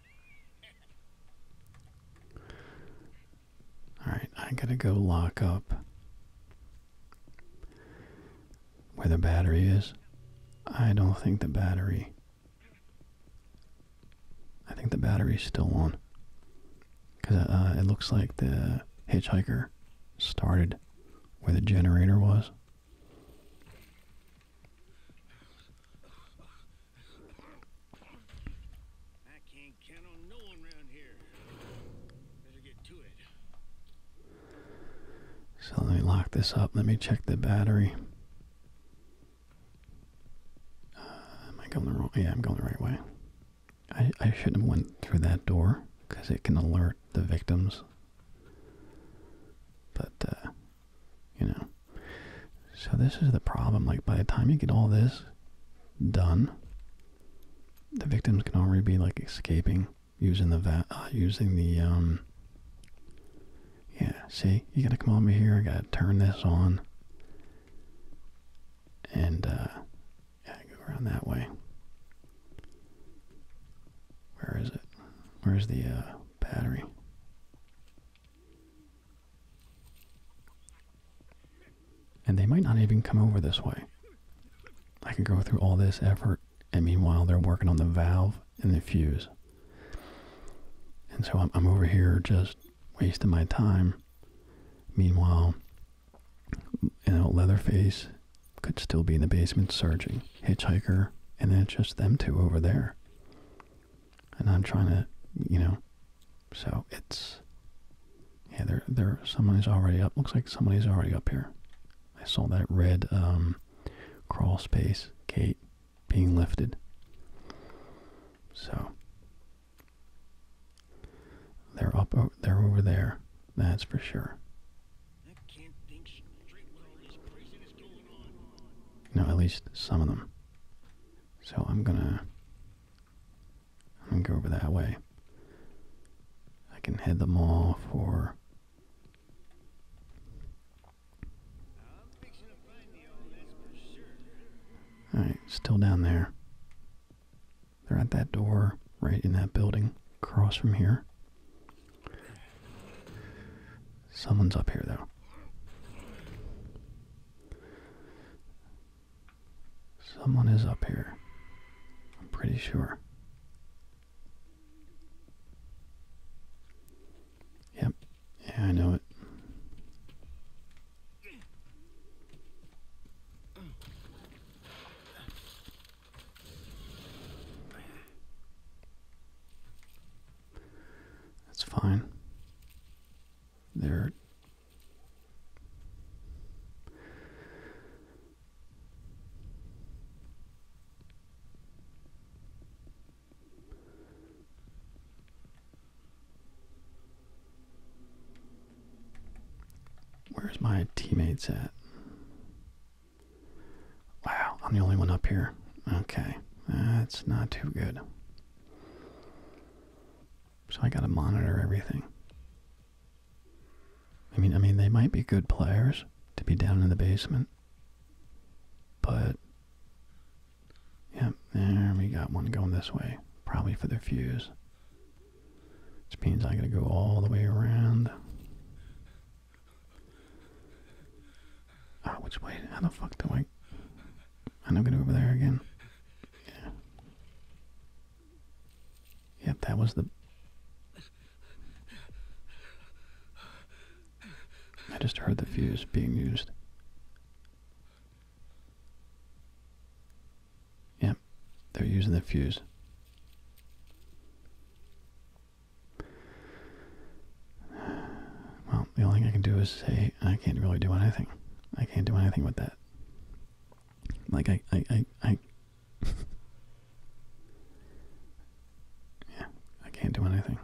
Alright, I gotta go lock up where the battery is. I don't think the battery. I think the battery's still on. Because uh, it looks like the hitchhiker started where the generator was. So let me lock this up. Let me check the battery. Uh, am I going the wrong? Yeah, I'm going the right way. I I shouldn't have went through that door because it can alert the victims. But uh, you know. So this is the problem. Like by the time you get all this done, the victims can already be like escaping using the va uh, using the um. Yeah, see, you gotta come over here. I gotta turn this on, and uh, yeah, go around that way. Where is it? Where's the uh, battery? And they might not even come over this way. I could go through all this effort, and meanwhile they're working on the valve and the fuse. And so I'm, over here just wasting my time. Meanwhile, you know, Leatherface could still be in the basement searching. Hitchhiker, and then it's just them two over there and I'm trying to, you know, so it's, yeah, there, there, somebody's already up, looks like somebody's already up here. I saw that red, um, crawl space gate being lifted. So, they're up, they're over there, that's for sure. No, at least some of them. So I'm gonna I'm going go over that way. I can head them all for Alright, still down there. They're at that door right in that building across from here. Someone's up here, though. Someone is up here. I'm pretty sure. Yep. Yeah, I know it. That's fine. There. Where's my teammates at? Wow, I'm the only one up here. Okay, that's not too good. So I gotta monitor everything. I mean, I mean, they might be good players to be down in the basement, but yep, there we got one going this way, probably for the fuse. Which means I gotta go all the way around. Ah, which way? How the fuck do I? I'm not gonna go over there again. Yeah. Yep, that was the. I just heard the fuse being used. Yep, they're using the fuse. Well, the only thing I can do is say I can't really do anything. I can't do anything with that. Like I, I, I, yeah, I can't do anything.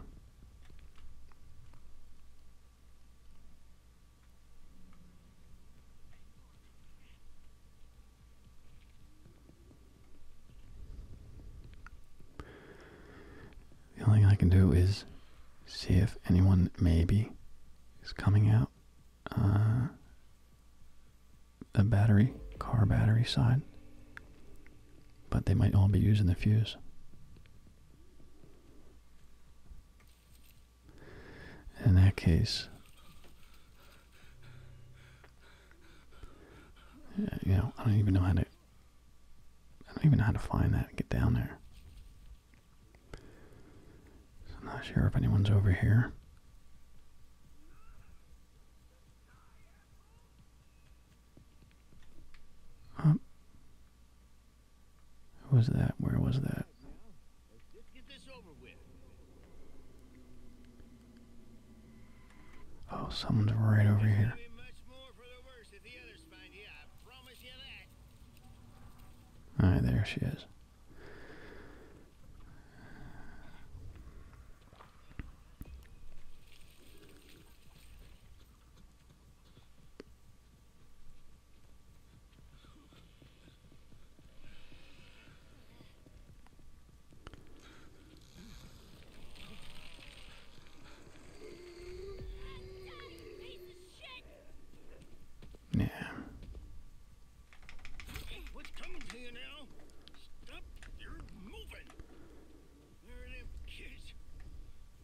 The only thing I can do is see if anyone maybe is coming out uh, the battery, car battery side. But they might all be using the fuse. In that case, uh, you know, I don't even know how to I don't even know how to find that and get down there. I'm not sure if anyone's over here. Who was that? Where was that? Oh, someone's right over here. All right, there she is. Yeah. what's coming to you now? Stop! You're moving. There are kids.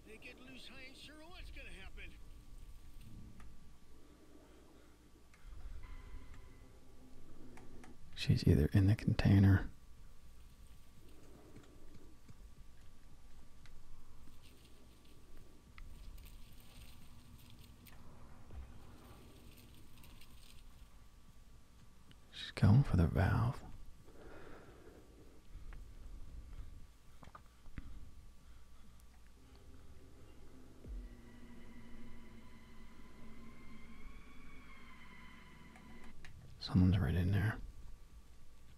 They get loose. I ain't sure what's gonna happen. She's either in the container She's going for the valve. Someone's right in there.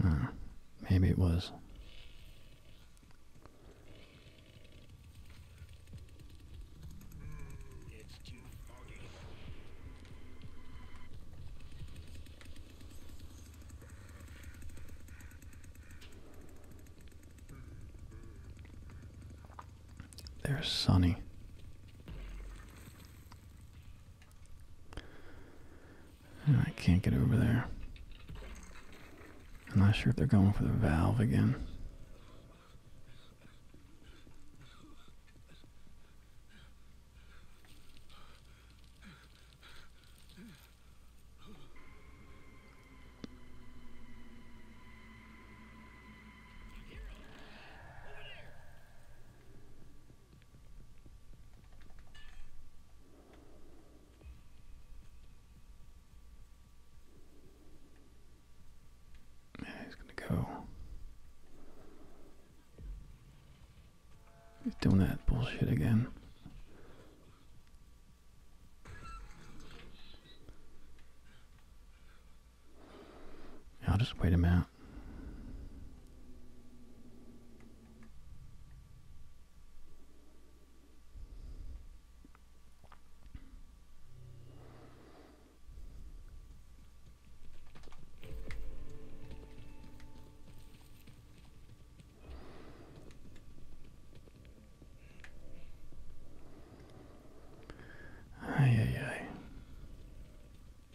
Hmm. Maybe it was. They're sunny. I can't get over there. I'm not sure if they're going for the valve again. Yeah, he's gonna go. He's doing that bullshit again. I'll just wait him out. Ay, ay, ay.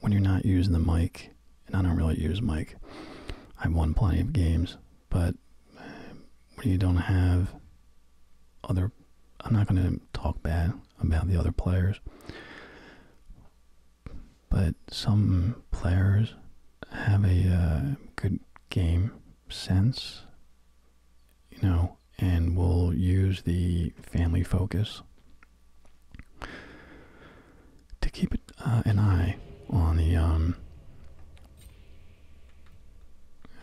when you're not using the mic, and I don't really use mic, I've won plenty of games, but um, when you don't have other, I'm not going to talk bad about the other players, but some players have a uh, good game sense, you know, and will use the family focus to keep uh, an eye on the um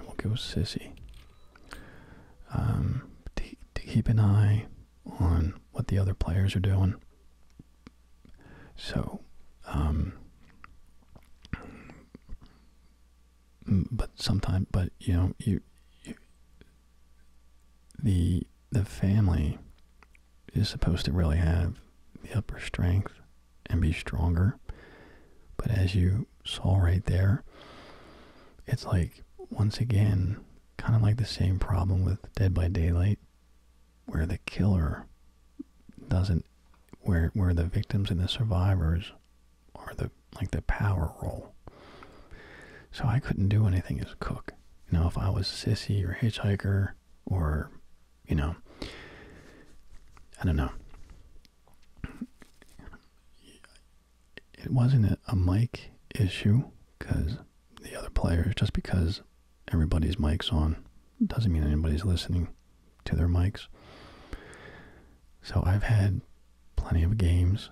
we'll go sissy um to, keep an eye on what the other players are doing so um but sometimes but you know you the the family is supposed to really have the upper strength and be stronger. But as you saw right there, it's like, once again, kind of like the same problem with Dead by Daylight, where the killer doesn't, where, where the victims and the survivors are the, like the power role. So I couldn't do anything as cook. You know, if I was Sissy or Hitchhiker or you know I don't know. It wasn't a, mic issue because the other players just because everybody's mics on doesn't mean anybody's listening to their mics. So I've had plenty of games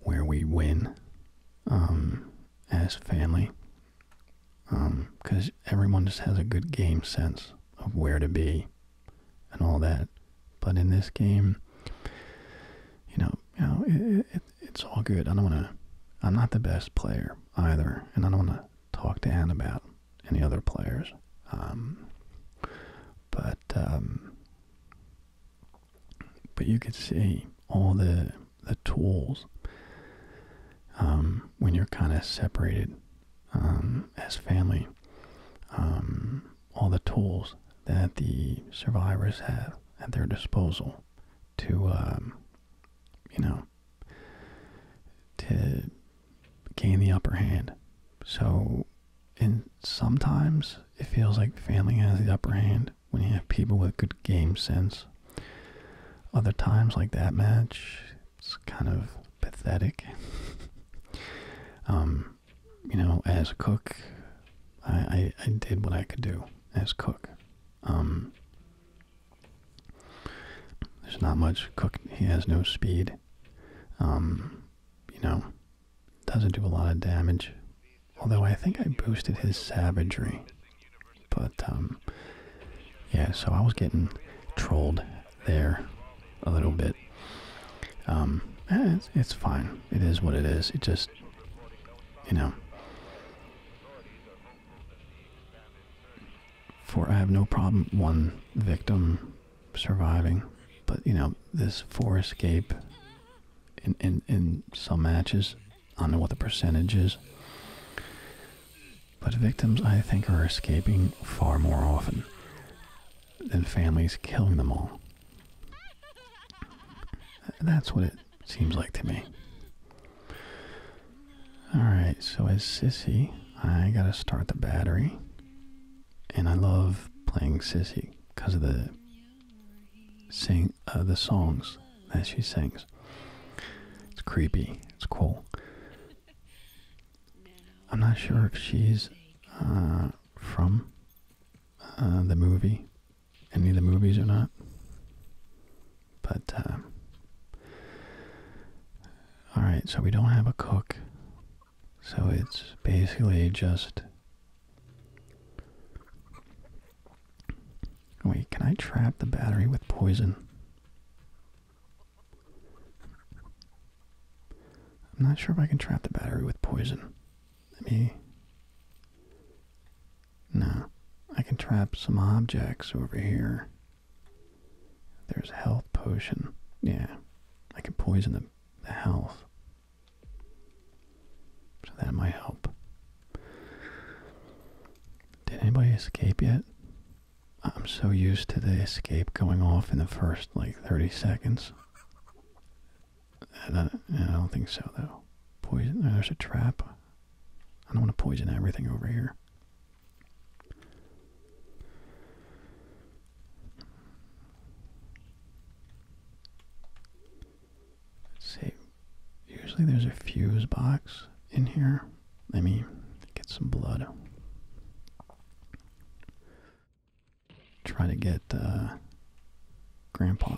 where we win um, as family because um, everyone just has a good game sense of where to be and all that. But in this game, you know, you know, it's all good. I don't want to. I'm not the best player either, and I don't want to talk to Ann about any other players. Um, but um, but you could see all the the tools um, when you're kind of separated um, as family. Um, all the tools that the survivors have at their disposal to, you know, to gain the upper hand. So, and sometimes it feels like family has the upper hand when you have people with good game sense other times, like that match, it's kind of pathetic. Um, you know, as a cook, I, I did what I could do as cook. Um, there's not much cook. He has no speed. Um, you know, doesn't do a lot of damage. Although I think I boosted his savagery but um, yeah, so I was getting trolled there a little bit. Um, eh, it's, it's fine. It is what it is. It just, you know. For I have no problem one victim surviving, but you know this four escape in in in some matches I don't know what the percentage is. But victims, I think, are escaping far more often than families killing them all. That's what it seems like to me. Alright, so as Sissy, I gotta start the battery. And I love playing Sissy because of the sing uh, the songs as she sings. It's creepy. It's cool. I'm not sure if she's uh, from uh, the movie, any of the movies or not, but um, all right. So we don't have a cook, so it's basically just Wait, can I trap the battery with poison? I'm not sure if I can trap the battery with poison. Let me. No. I can trap some objects over here. There's health potion. Yeah. I can poison the, the health. So that might help. Did anybody escape yet? I'm so used to the escape going off in the first like 30 seconds. I don't, I don't think so though. Poison, uh, there's a trap. I don't want to poison everything over here. Let's see, Usually there's a fuse box in here. Let me get some blood. Try to get uh, Grandpa.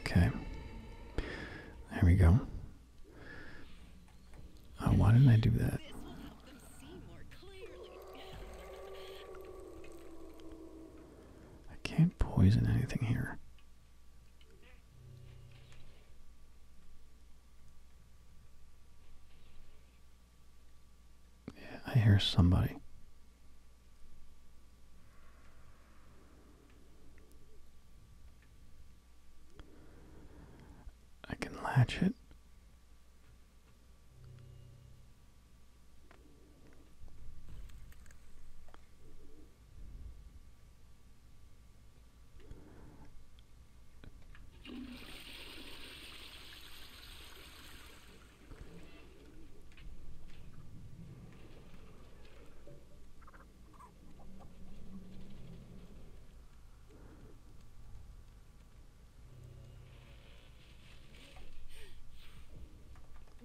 Okay. There we go. Uh, why didn't I do that? I can't poison anything here. Yeah, I hear somebody. I can latch it.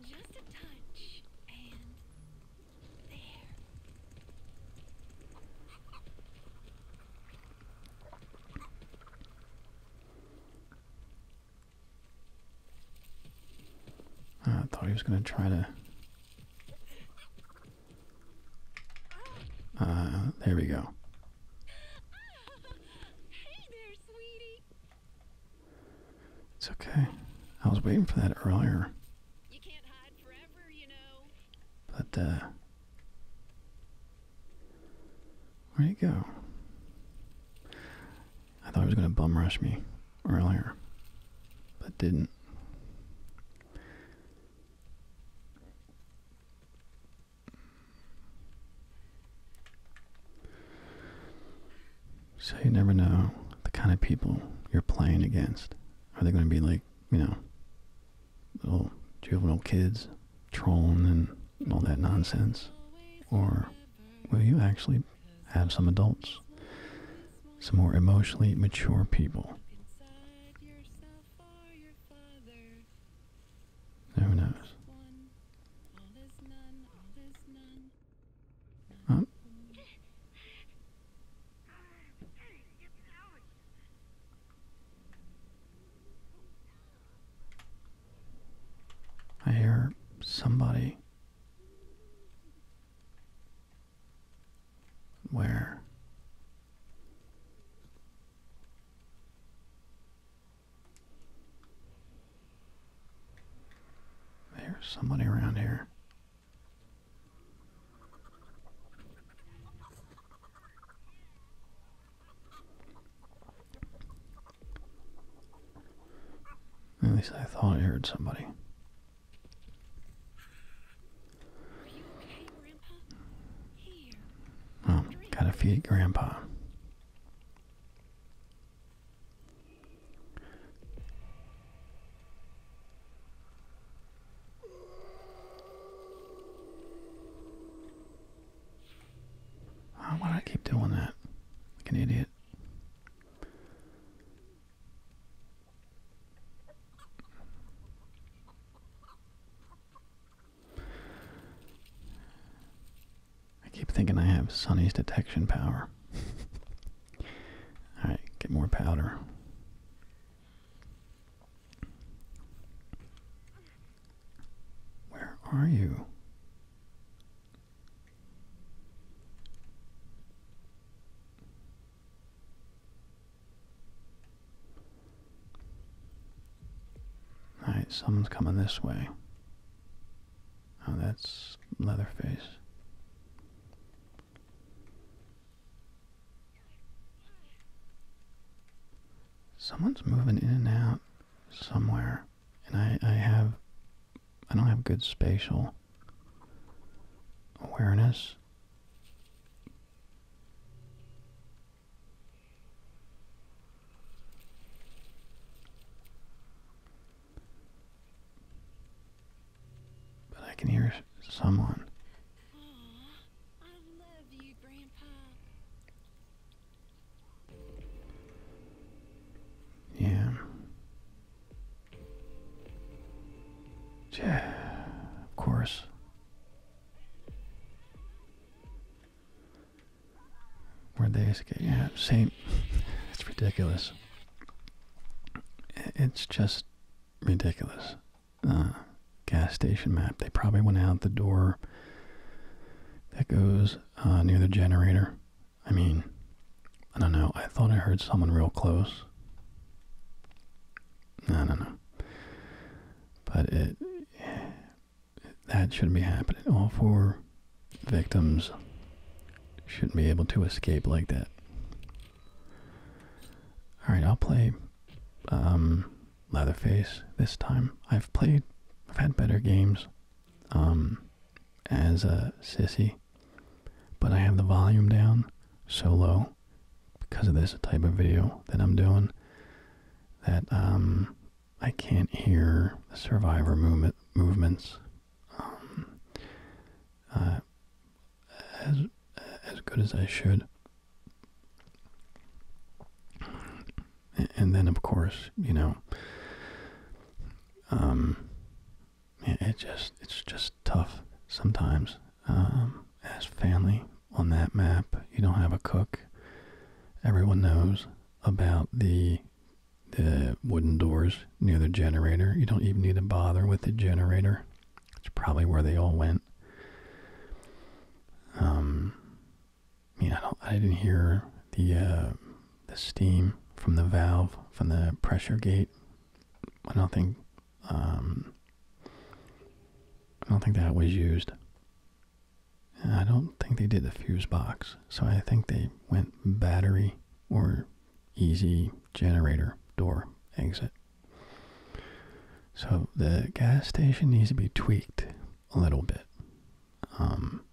Just a touch, and Ah, I thought he was going to try to. Uh, there we go. It's okay. I was waiting for that earlier. But uh where you go? I thought he was gonna bum rush me earlier. But didn't. So you never know the kind of people you're playing against. Are they going to be like you know, little juvenile kids trolling and all that nonsense? Or will you actually have some adults, some more emotionally mature people? Who knows? Oh, I hear somebody. Where? There's somebody around here. At least I thought I heard somebody. oh, gotta feed Grandpa why do I keep doing that? Like an idiot. I keep thinking I have Sunny's detection power. [laughs] Alright, get more powder. Where are you? Alright, someone's coming this way. Oh, that's Leatherface. Someone's moving in and out somewhere, and I, I have, I don't have good spatial awareness. But I can hear someone. Yeah. Yeah, of course. Where'd they escape? Yeah, same. [laughs] it's ridiculous. It's just ridiculous. Uh, gas station map. They probably went out the door that goes uh, near the generator. I mean, I don't know. I thought I heard someone real close. I don't know. But it, that shouldn't be happening. All four victims shouldn't be able to escape like that. Alright, I'll play um, Leatherface this time. I've played, I've had better games um, as a sissy, but I have the volume down so low because of this type of video that I'm doing that um, I can't hear the survivor movement movements. Um, uh, as as good as I should. And then, of course, you know, um, it just it's just tough sometimes. Um, as family on that map, you don't have a cook. Everyone knows about the the wooden doors near the generator. You don't even need to bother with the generator. It's probably where they all went. Um, I I didn't hear the uh, the steam from the valve from the pressure gate. I don't think, um, I don't think that was used. I don't think they did the fuse box, so I think they went battery or easy generator door exit. So the gas station needs to be tweaked a little bit. Um,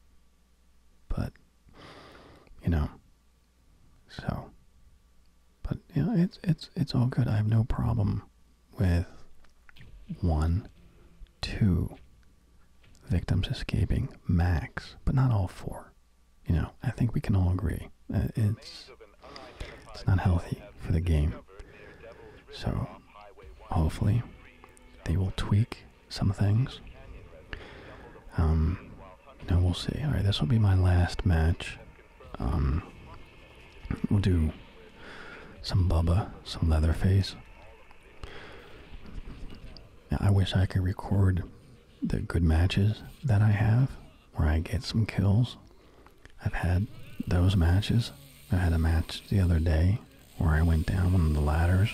but, you know, so, but, yeah, it's, it's, it's all good. I have no problem with one, two victims escaping max, but not all four. You know, I think we can all agree. It's, it's not healthy for the game. So hopefully they will tweak some things. Um, we'll see. All right, this will be my last match. Um, we'll do some Bubba, some Leatherface. I wish I could record the good matches that I have where I get some kills. I've had those matches. I had a match the other day where I went down one of the ladders.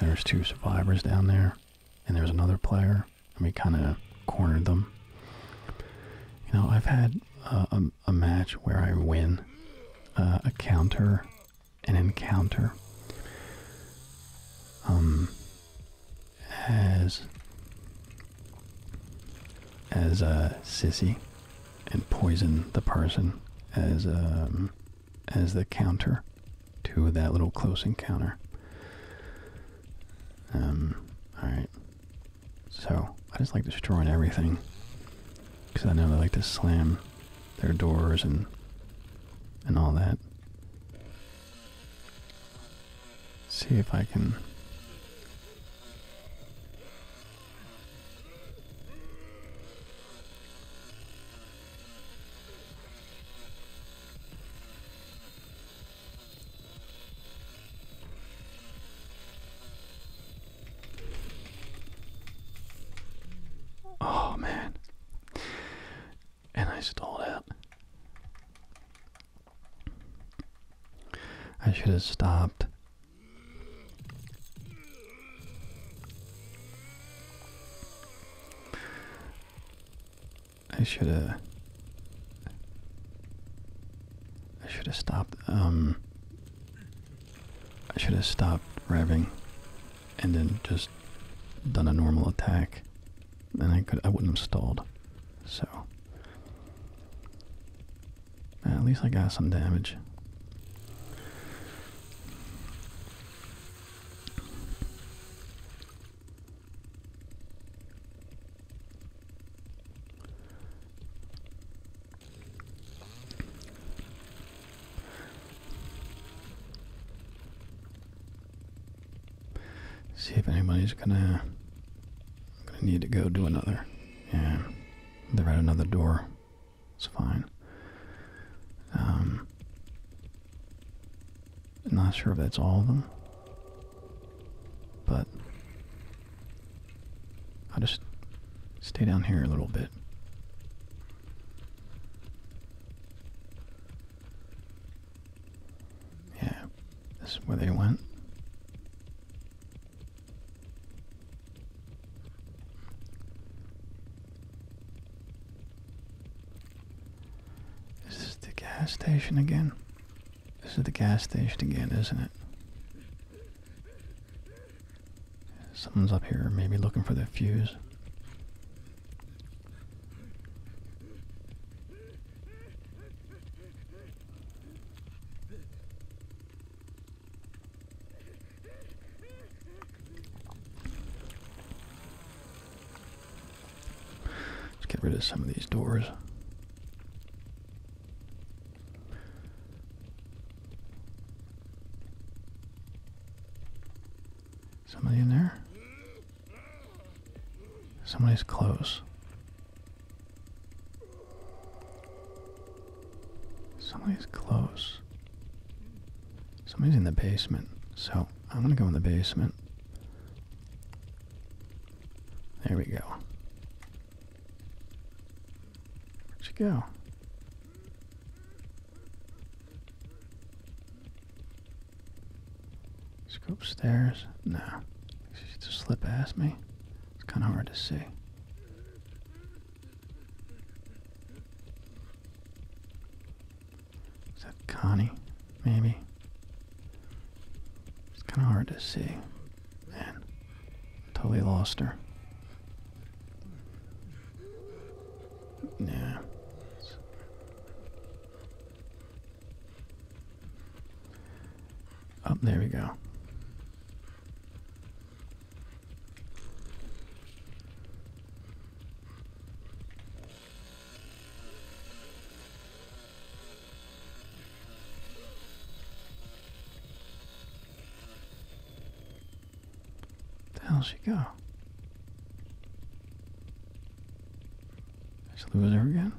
there's two survivors down there, and there's another player, and we kind of cornered them. You know, I've had a, a, match where I win uh, a counter, an encounter. Um, as as uh, a sissy and poison the person as um as the counter to that little close encounter um all right so i just like destroying everything because i know they like to slam their doors and and all that see if I can Oh man. And I stalled out. I should have stopped. I should have. I should have stopped. Um. I should have stopped revving, and then just done a normal attack. and I could. I wouldn't have stalled. So. At least I got some damage. See if anybody's gonna I'm gonna need to go do another. Yeah, they're at another door. It's fine. I'm um, not sure if that's all of them, but I'll just stay down here a little bit. Yeah, this is where they went. This is the gas station again. This is the gas station again, isn't it? Someone's up here, maybe looking for the fuse. Let's get rid of some of these doors. Somebody in there? Somebody's close. Somebody's close. Somebody's in the basement. So I'm going to go in the basement. There we go. Where'd she go? Let's go No. She just slip past me. It's kind of hard to see. Is that Connie? Maybe. It's kind of hard to see. Man, totally lost her. Yeah. Up oh, there we go. How'd she go? Just lose her again?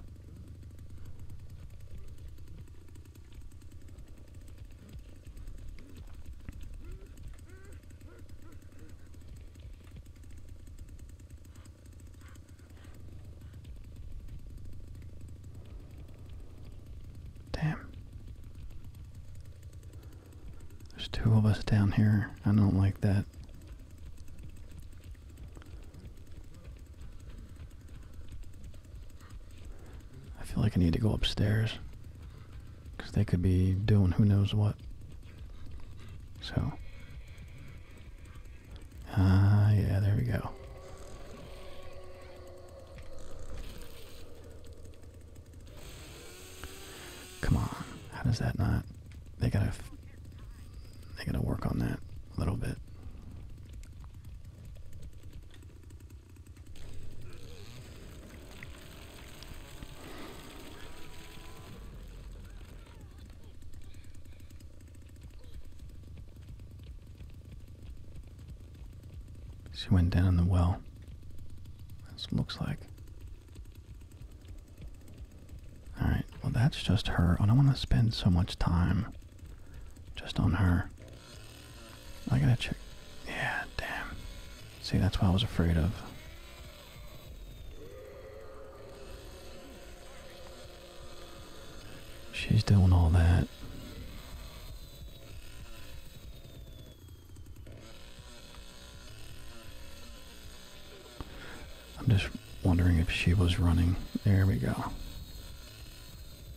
Damn. There's two of us down here. I don't like that. I feel like I need to go upstairs because they could be doing who knows what. So, ah, yeah, there we go. Come on, how does that not? They gotta, they gotta work on that a little bit. She went down the well. This looks like. Alright, well, that's just her. I don't want to spend so much time just on her. I gotta check. Yeah, damn. See, that's what I was afraid of. She's doing all that. I'm just wondering if she was running. There we go.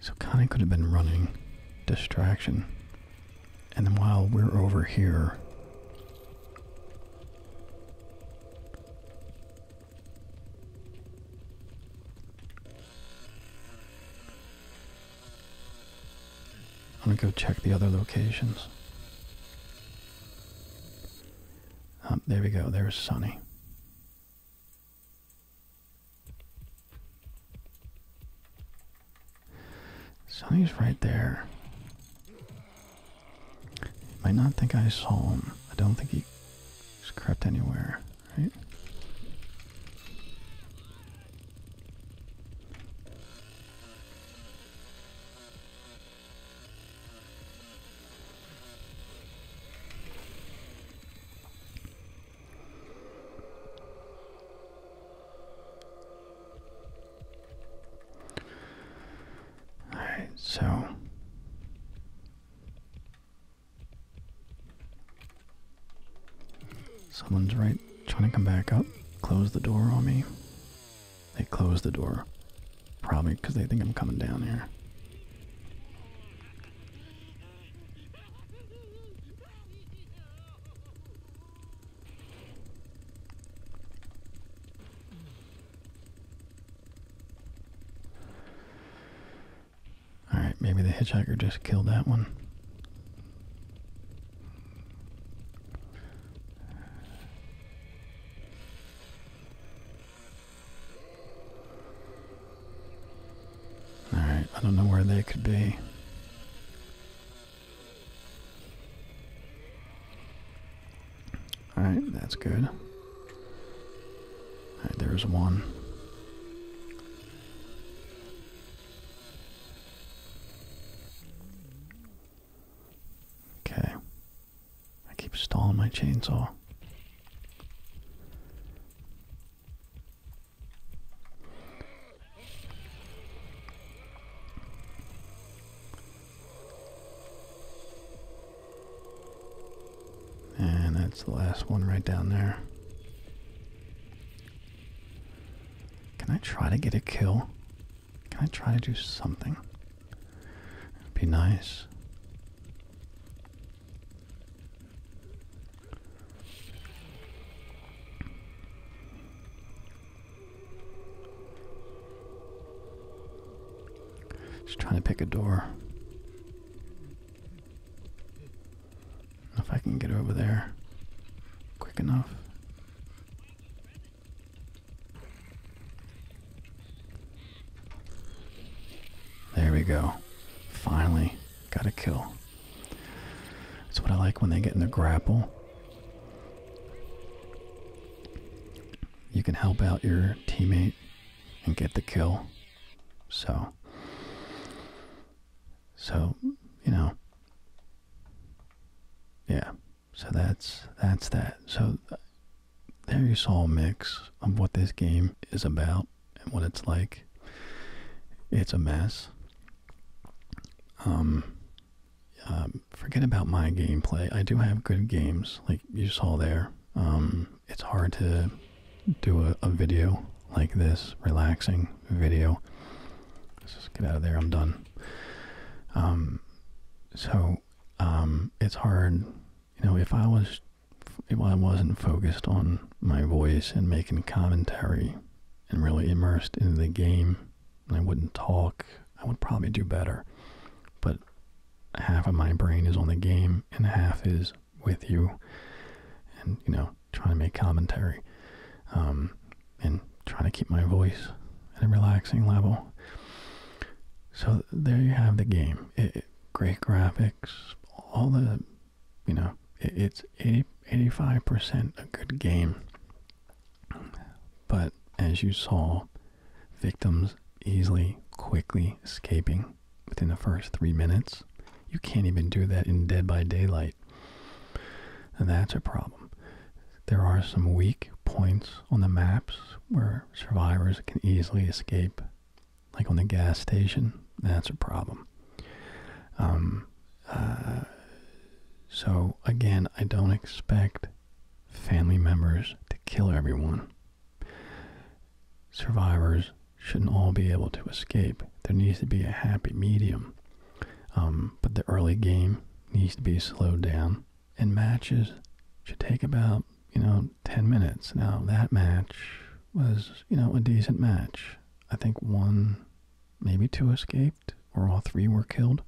So Connie could have been running distraction. And then while we're over here, I'm gonna go check the other locations. Um, there we go. There's Sunny. Sonny's right there. You might not think I saw him. I don't think he crept anywhere, right? All right, so someone's right trying to come back up, close the door on me. They close the door, probably because they think I'm coming down here. All right, maybe the hitchhiker just killed that one. Alright, I don't know where they could be. Alright, that's good. Alright, there's one. Okay. I keep stalling my chainsaw. And that's the last one right down there. Can I try to get a kill? Can I try to do something? It'd be nice. Just trying to pick a door. If I can get over there quick enough. There we go. Finally, got a kill. That's what I like when they get in the grapple. You can help out your teammate and get the kill. So, so you know, yeah. So that's that's that. So uh, there you saw a mix of what this game is about and what it's like. It's a mess. Um, um, forget about my gameplay. I do have good games, like you saw there. Um, it's hard to do a, a video like this, relaxing video. Let's just get out of there. I'm done. Um, so um, it's hard, you know. If I was, if I wasn't focused on my voice and making commentary and really immersed in the game. I wouldn't talk. I would probably do better. But half of my brain is on the game and half is with you and, you know, trying to make commentary um, and trying to keep my voice at a relaxing level. So there you have the game. great graphics, all the you know, it's 85% a good game. But as you saw, victims easily, quickly escaping within the first three minutes. You can't even do that in Dead by Daylight. And that's a problem. There are some weak points on the maps where survivors can easily escape. Like on the gas station, that's a problem. Um, uh, so again, I don't expect family members to kill everyone. Survivors shouldn't all be able to escape. There needs to be a happy medium. Um, but the early game needs to be slowed down, and matches should take about you know 10 minutes. Now that match was you know a decent match. I think one Maybe two escaped, or all three were killed.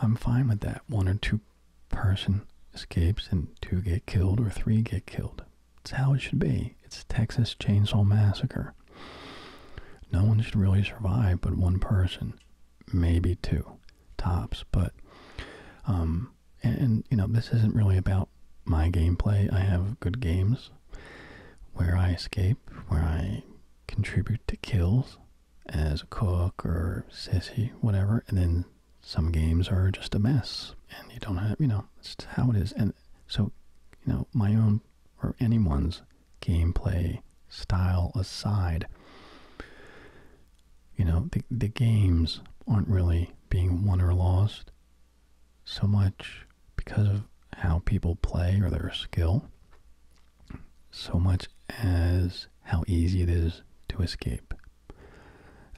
I'm fine with that. One or two person escapes and two get killed or three get killed. It's how it should be. It's Texas Chainsaw Massacre. No one should really survive but one person, maybe two tops. But, um, and, and you know, this isn't really about my gameplay. I have good games where I escape, where I contribute to kills as a cook or sissy, whatever, and then some games are just a mess and you don't have, you know, it's how it is. And so, you know, my own or anyone's gameplay style aside, you know, the, the games aren't really being won or lost so much because of how people play or their skill, so much as how easy it is to escape.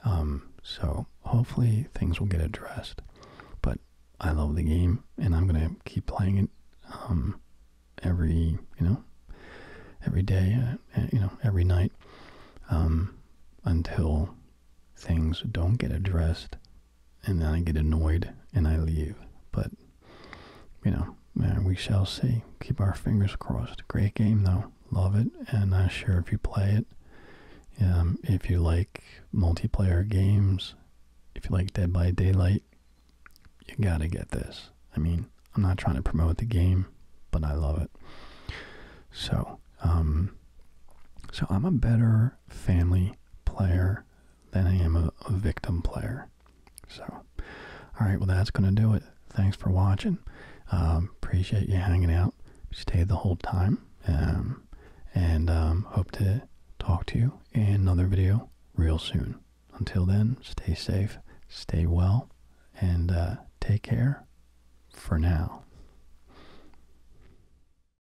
Um, so hopefully things will get addressed. But I love the game, and I'm gonna keep playing it um, every you know every day, uh, you know every night um, until things don't get addressed and then I get annoyed and I leave. But you know, we shall see. Keep our fingers crossed. Great game though, love it, and I'm sure if you play it. Um, if you like multiplayer games, if you like Dead by Daylight, you gotta get this. I mean, I'm not trying to promote the game, but I love it. So, um, so I'm a better family player than I am a, victim player. So, all right, well, that's going to do it. Thanks for watching. Um, appreciate you hanging out. Stayed the whole time. Um, and um, hope to talk to you in another video real soon. Until then, stay safe, stay well, and uh, take care for now.